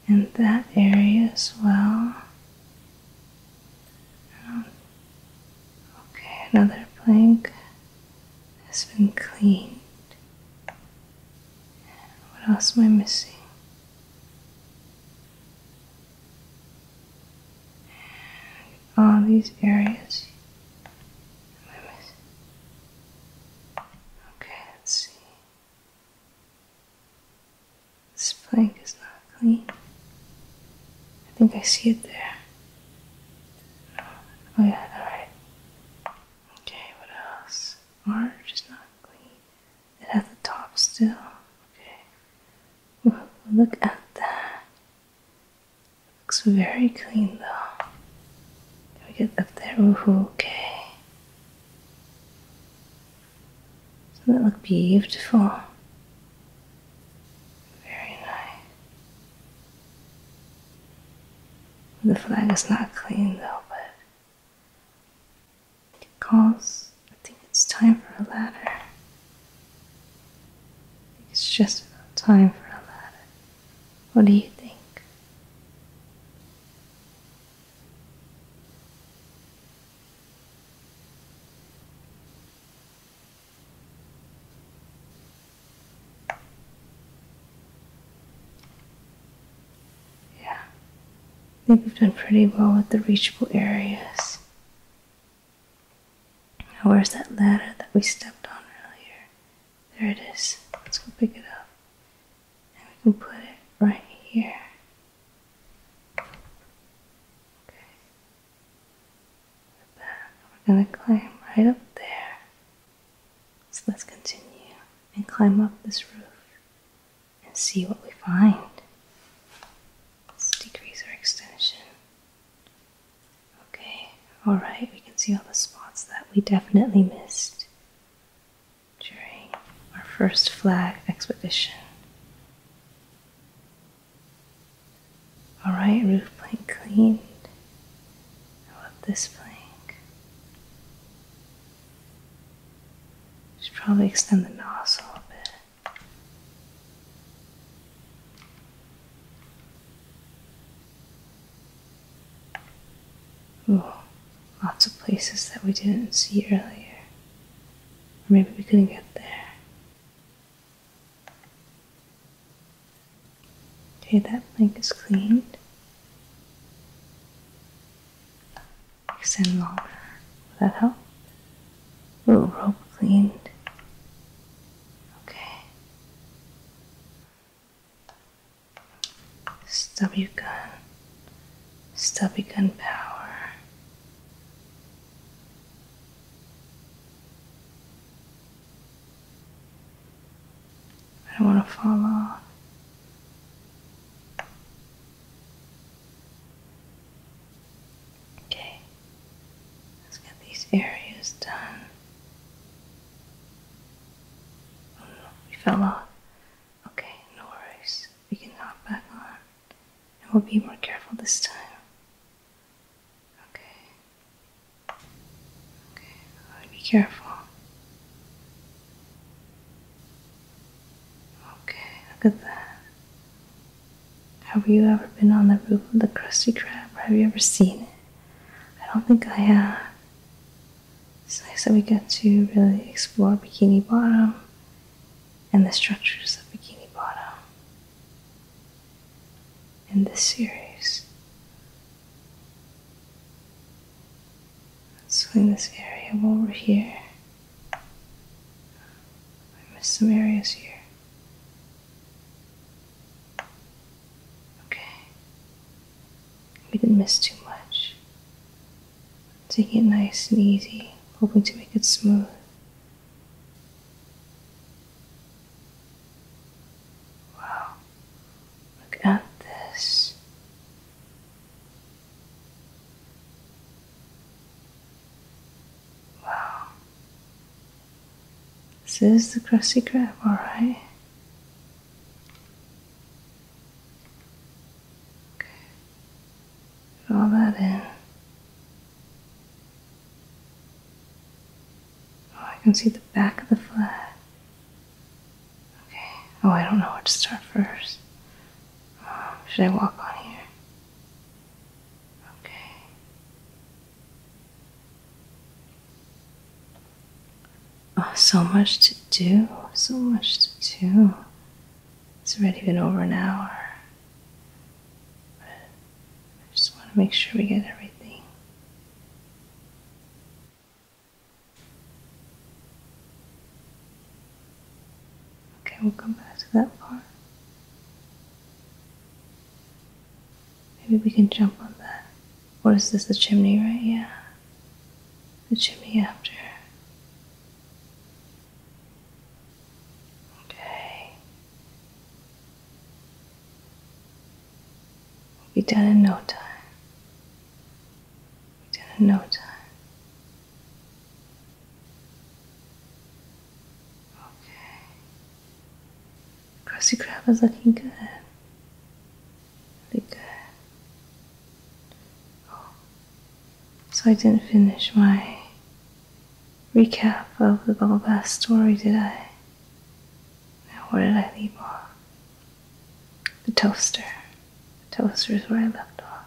And that area as well. Um, okay, another plank has been cleaned. What else am I missing? And all these areas. Okay, let's see. This plank is not clean. I think I see it there. Oh yeah, alright. Okay, what else? or just not clean. It has the top still. Okay. look at that. Looks very clean though. Can we get up there? Ooh, okay. Doesn't that look beautiful? Very nice. The flag is not clean though, but because I think it's time for a ladder. I think it's just about time for a ladder. What do you think? Yeah. I think we've done pretty well with the reachable areas. Now, where's that ladder that we stepped on earlier? There it is. Let's go pick it up. And we can put it right here. Okay. We're gonna climb right up there. So let's continue and climb up this roof and see what we find. Let's decrease our extension. Okay, alright, we can see all the spots that we definitely missed during our first flag expedition. Alright, roof plank cleaned. I love this plank. Should probably extend the nozzle a bit. Ooh, lots of places that we didn't see earlier. Or maybe we couldn't get there. Okay, that plank is cleaned. Extend longer. Will that help? Little rope cleaned. Okay. Stubby gun. Stubby gun power. I don't want to fall off. Okay, let's get these areas done. Oh, we fell off. Okay, no worries. We can hop back on. And we'll be more careful this time. Okay. Okay, be careful. Okay, look at that. Have you ever been on the roof of the Krusty Krab? Have you ever seen it? I don't think I have. It's nice that we get to really explore Bikini Bottom and the structures of Bikini Bottom in this series. Let's clean this area over here. I missed some areas here. Okay. We didn't miss too much. Taking it nice and easy, hoping to make it smooth. Wow. Look at this. Wow. This is the crusty crab, alright? Okay. Put that in. Oh, I can see the back of the flag. Okay. Oh, I don't know where to start first. Um, should I walk on here? Okay. Oh, so much to do. So much to do. It's already been over an hour. But I just want to make sure we get everything. Okay, we'll come back to that part. Maybe we can jump on that. What is this? The chimney, right? Yeah. The chimney after. Okay. We'll be done in no time within no time. Okay. Crusty Crab is looking good. Really good. Oh. So I didn't finish my recap of the Boba story, did I? Now where did I leave off? The toaster. The toaster is where I left off.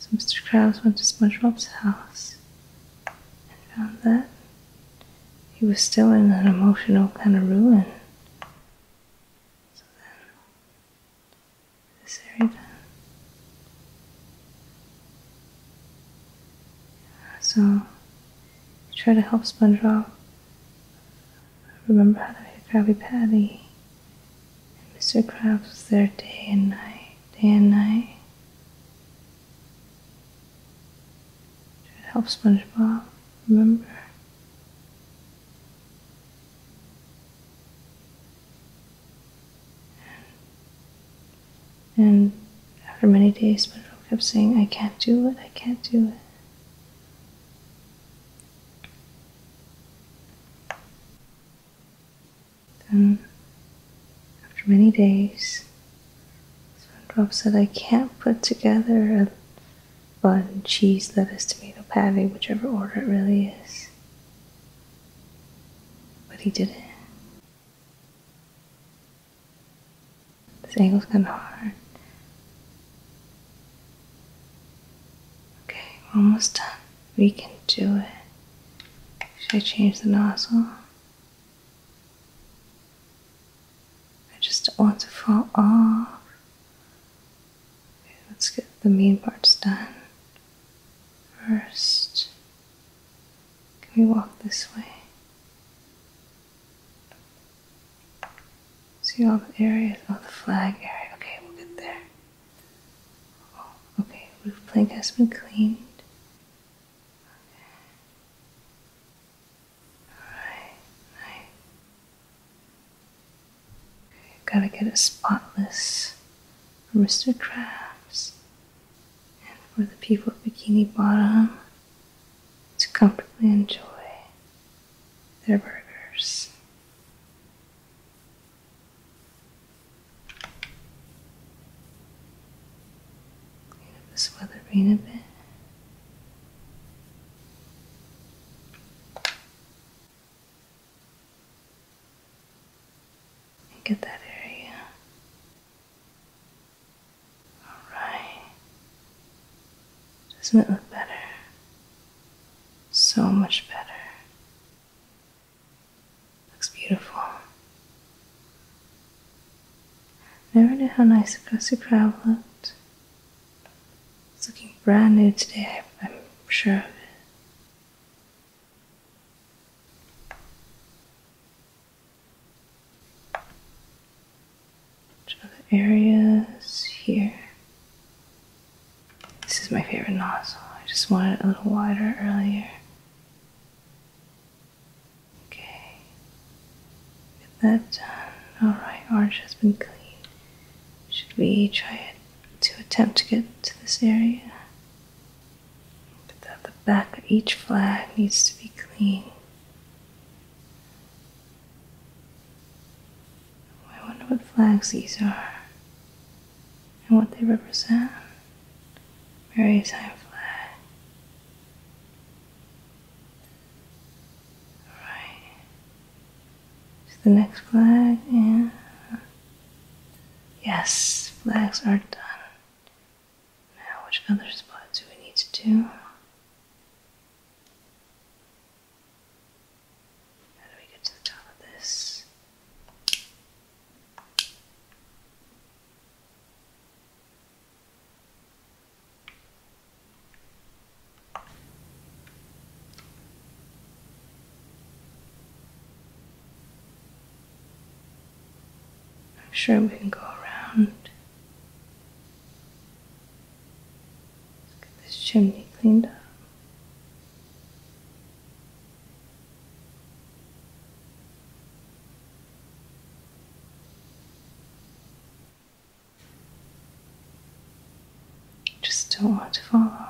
So Mr. Krabs went to SpongeBob's house and found that he was still in an emotional kind of ruin. So then, this area. So, he tried to help SpongeBob Remember how to make a Krabby Patty? Mr. Krabs was there day and night, day and night. Try to help SpongeBob, remember? And after many days, SpongeBob kept saying, I can't do it, I can't do it. Then, um, after many days, Spongebob said, I can't put together a bun, cheese, lettuce, tomato, patty, whichever order it really is. But he did it. This angle's kind of hard. Okay, almost done. We can do it. Should I change the nozzle? I just don't want to fall off. Okay, let's get the main parts done first. Can we walk this way? See all the areas? Oh, the flag area. Okay, we'll get there. okay, roof plank has been cleaned. Alright, nice. gotta get it spotless for Mr. Krabs. And for the people of Bikini Bottom to comfortably enjoy their burgers. Clean up this weather a bit. get that area. Alright. Doesn't it look better? So much better. Looks beautiful. Never knew how nice Aggressive Crab looked. It's looking brand new today, I'm sure of it. Which other areas here? This is my favorite nozzle. I just wanted it a little wider earlier. Okay. Get that done. Alright, orange has been cleaned. Should we try to attempt to get to this area? But the back of each flag needs to be clean. I wonder what flags these are and what they represent. Maritime flag. Alright. the next flag, yeah. yes, flags are done. Now, which other spots do we need to do? How do we get to the top of this? I'm sure we can go around. Let's get this chimney cleaned up. Just don't want to fall off.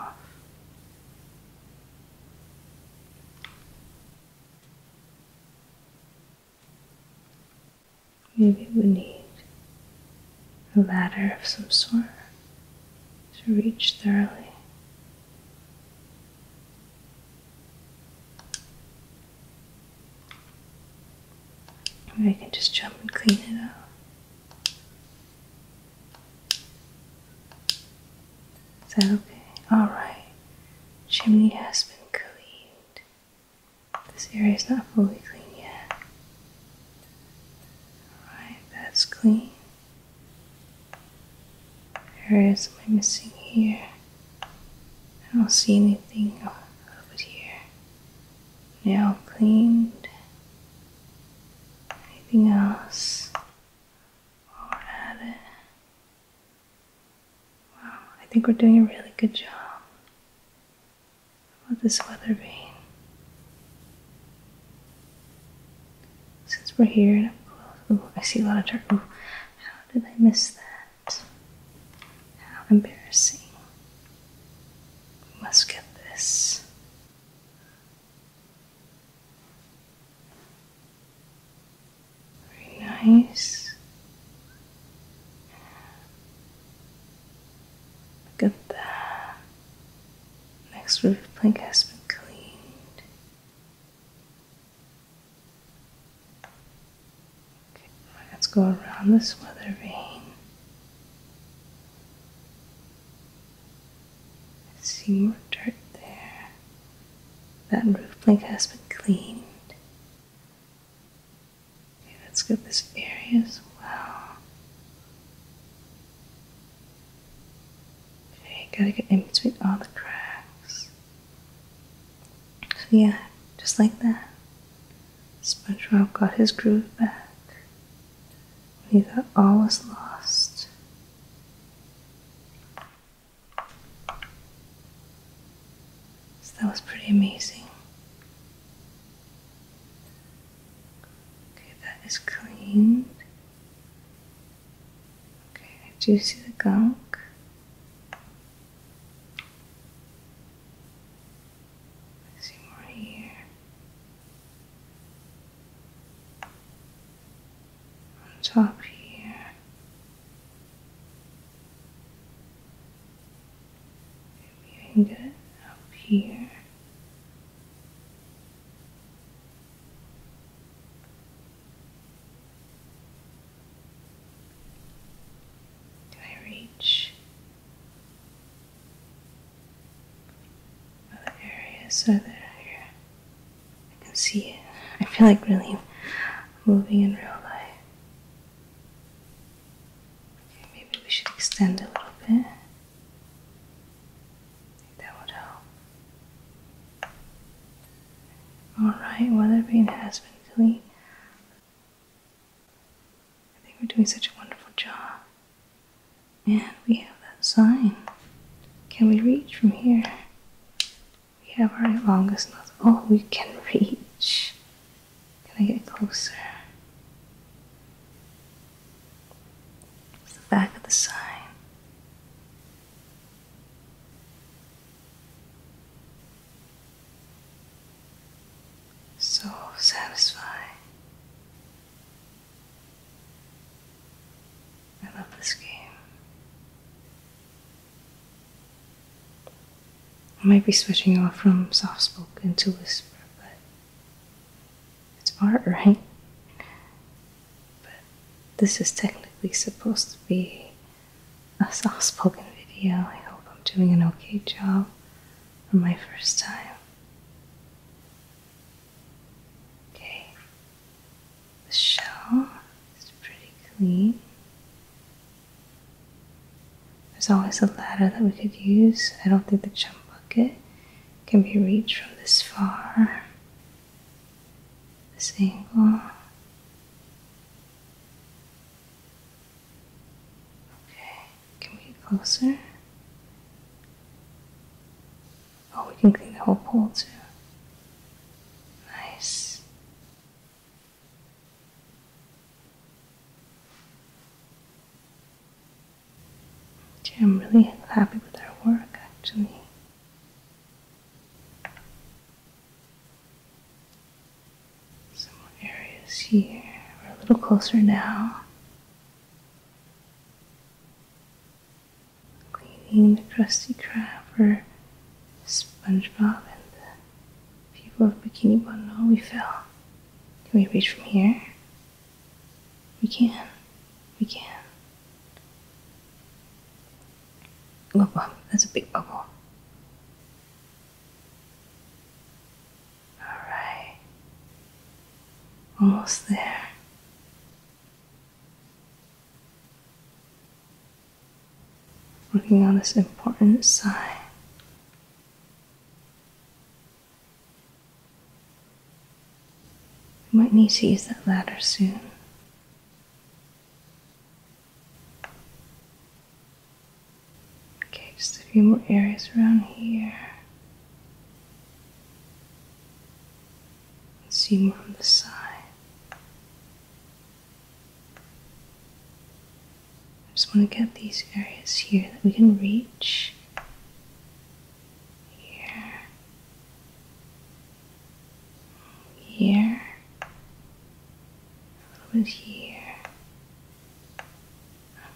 Maybe we need a ladder of some sort to reach thoroughly. Maybe I can just jump and clean it up. Is that okay? Alright. Chimney has been cleaned. This area is not fully clean yet. Alright, that's clean. Areas am missing here? I don't see anything over here. Now cleaned. Anything else? Or add it. Wow, I think we're doing a really good job for this weather vane. Since we're here I see a lot of turtle. How did I miss that? How embarrassing. We must get this. Very nice. Look at that. Next roof plank has been cleaned. Okay, let's go around this weather vane. I see more dirt there. That roof plank has been cleaned. Okay, let's get this area as well. Okay, gotta get in between all the cracks. So yeah, just like that. SpongeBob got his groove back when he thought all was lost. So that was pretty amazing. Okay, that is cleaned. Okay, I do see the gunk. see more here. On top here. Maybe can get up here. Do I reach other areas so that uh, I, can see it? I feel like really moving in real life. maybe we should extend a little bit. That would help. Alright, Weatherbean has been clean. I think we're doing such a wonderful job. And we have that sign. Can we reach from here? We have our longest nozzle. Oh, we can reach. Can I get closer? It's the back of the sign. So satisfying. I love this game. I might be switching off from soft spoken to whisper, but it's art, right? But this is technically supposed to be a soft spoken video. I hope I'm doing an okay job for my first time. Okay, the shell is pretty clean. There's always a ladder that we could use. I don't think the jump bucket can be reached from this far, this angle. Okay, can we get closer? Oh, we can clean the whole pole too. Nice. I'm really happy with our work actually. Some areas here. We're a little closer now. Cleaning the crusty Krab or SpongeBob and the people of Bikini Bundle. Oh, we fell. Can we reach from here? We can. We can. Look, that's a big bubble. Alright. Almost there. Working on this important sign. You might need to use that ladder soon. Okay, just a few more areas around here. let see more on the side. I just want to get these areas here that we can reach here, here, a here.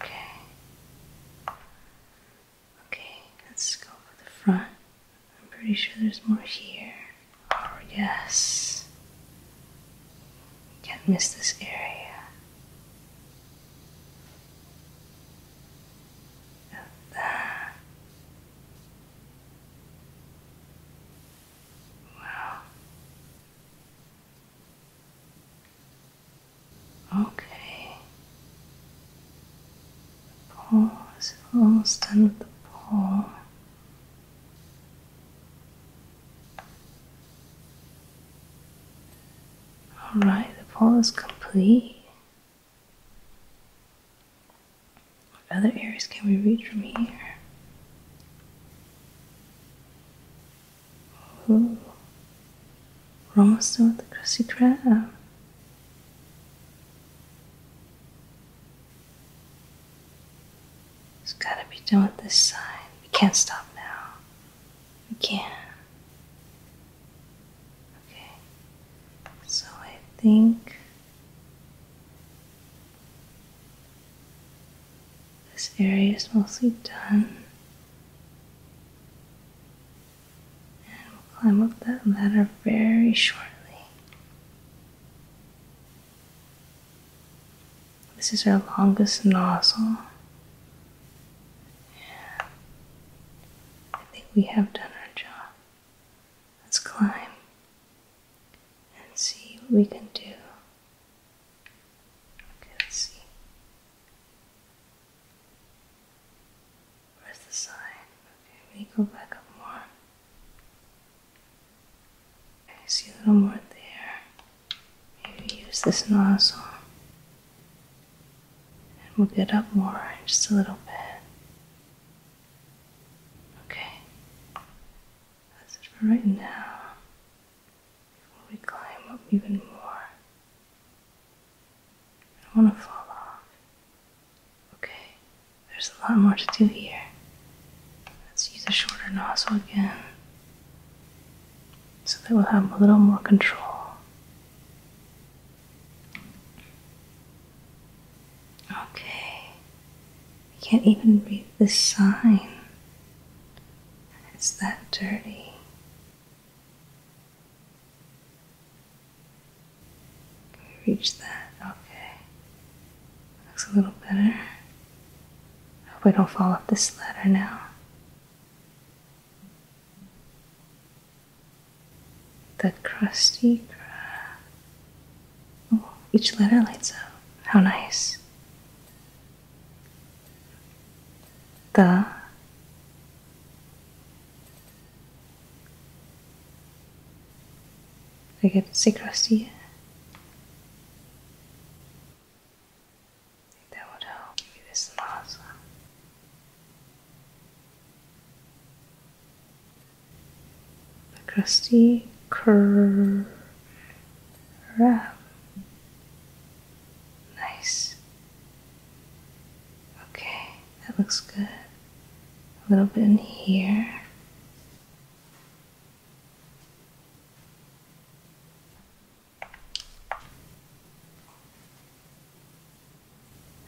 Okay. Okay, let's go for the front. I'm pretty sure there's more here. Oh, yes. Can't miss this area. Okay. The almost done with the paw. Alright, the paw is complete. What other areas can we reach from here? Ooh. We're almost done with the crusty crab. It's gotta be done with this side. We can't stop now. We can't. Okay, so I think this area is mostly done. And we'll climb up that ladder very shortly. This is our longest nozzle. I think we have done our job. Let's climb and see what we can do. Okay, let's see. Where's the sign? Okay, we go back up more. I see a little more there. Maybe use this nozzle. And we'll get up more, just a little bit. Okay. That's it for right now. Before we climb up even more. I don't want to fall off. Okay. There's a lot more to do here. Let's use a shorter nozzle again. So that we'll have a little more control. Okay. I can't even read the sign. It's that dirty. reach that? Okay. Looks a little better. I hope we don't fall off this ladder now. The crusty crab. Oh, each letter lights up. How nice. The I get to see crusty. That would help. This is the crusty curve. Nice. Okay, that looks good. A little bit in here.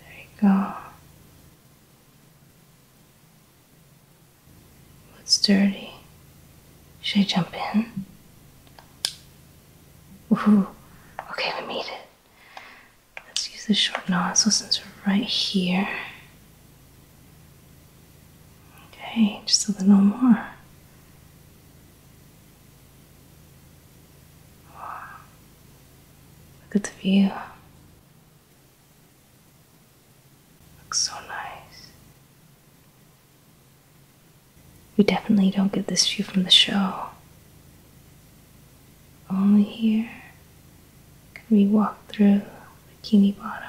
There you go. What's dirty? Should I jump in? Woohoo! Okay, we made it. Let's use the short nozzle since we're right here. Okay, just a little more. Look at the view. Looks so nice. We definitely don't get this view from the show. Only here can we walk through Bikini Bottom.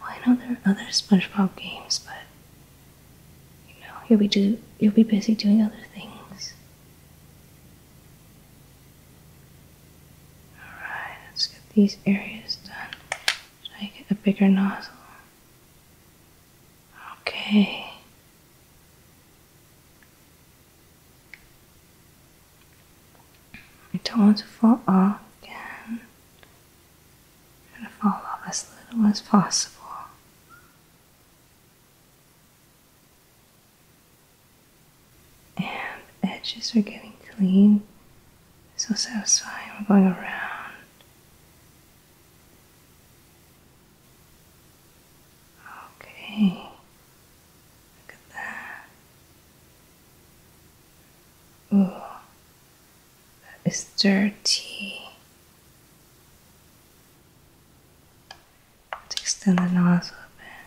Well, I know there are other SpongeBob games, but you know, you'll be do you'll be busy doing other things. Alright, let's get these areas done. So I get a bigger nozzle. Okay. I don't want to fall off again. I'm to fall off as little as possible and edges are getting clean. So satisfying. We're going around. Okay. Look at that. Ooh. That is dirty. Let's extend the nozzle a bit.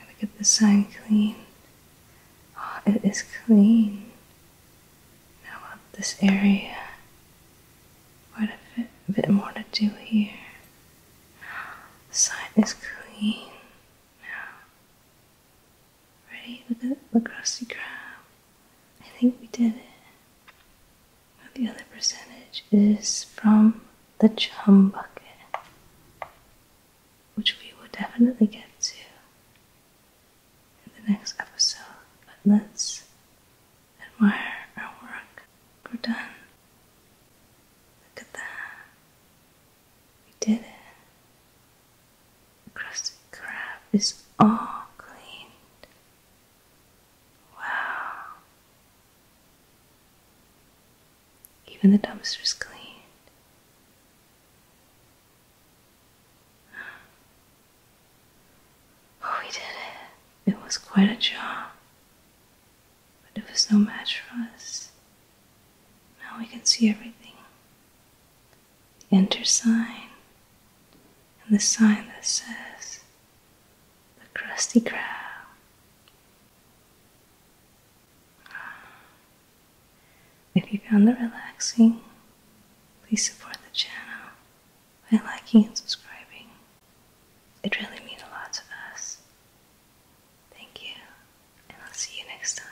Gotta get the sign clean. Oh, it is clean. Now up this area. Quite a bit, more to do here. The sign is clean now. Right? Look at look across I think we did it. the other percentage is from the chum bucket, which we will definitely get to in the next episode. But let's admire our work. We're done. Look at that. We did it. Krusty Krab is all cleaned. Wow. Even the dumpster's cleaned. Oh, we did it. It was quite a job. But it was no match for us. Now we can see everything the enter sign, and the sign that says the crusty Krab. If you found the relaxing, please support the channel by liking and subscribing. It really means a lot to us. Thank you, and I'll see you next time.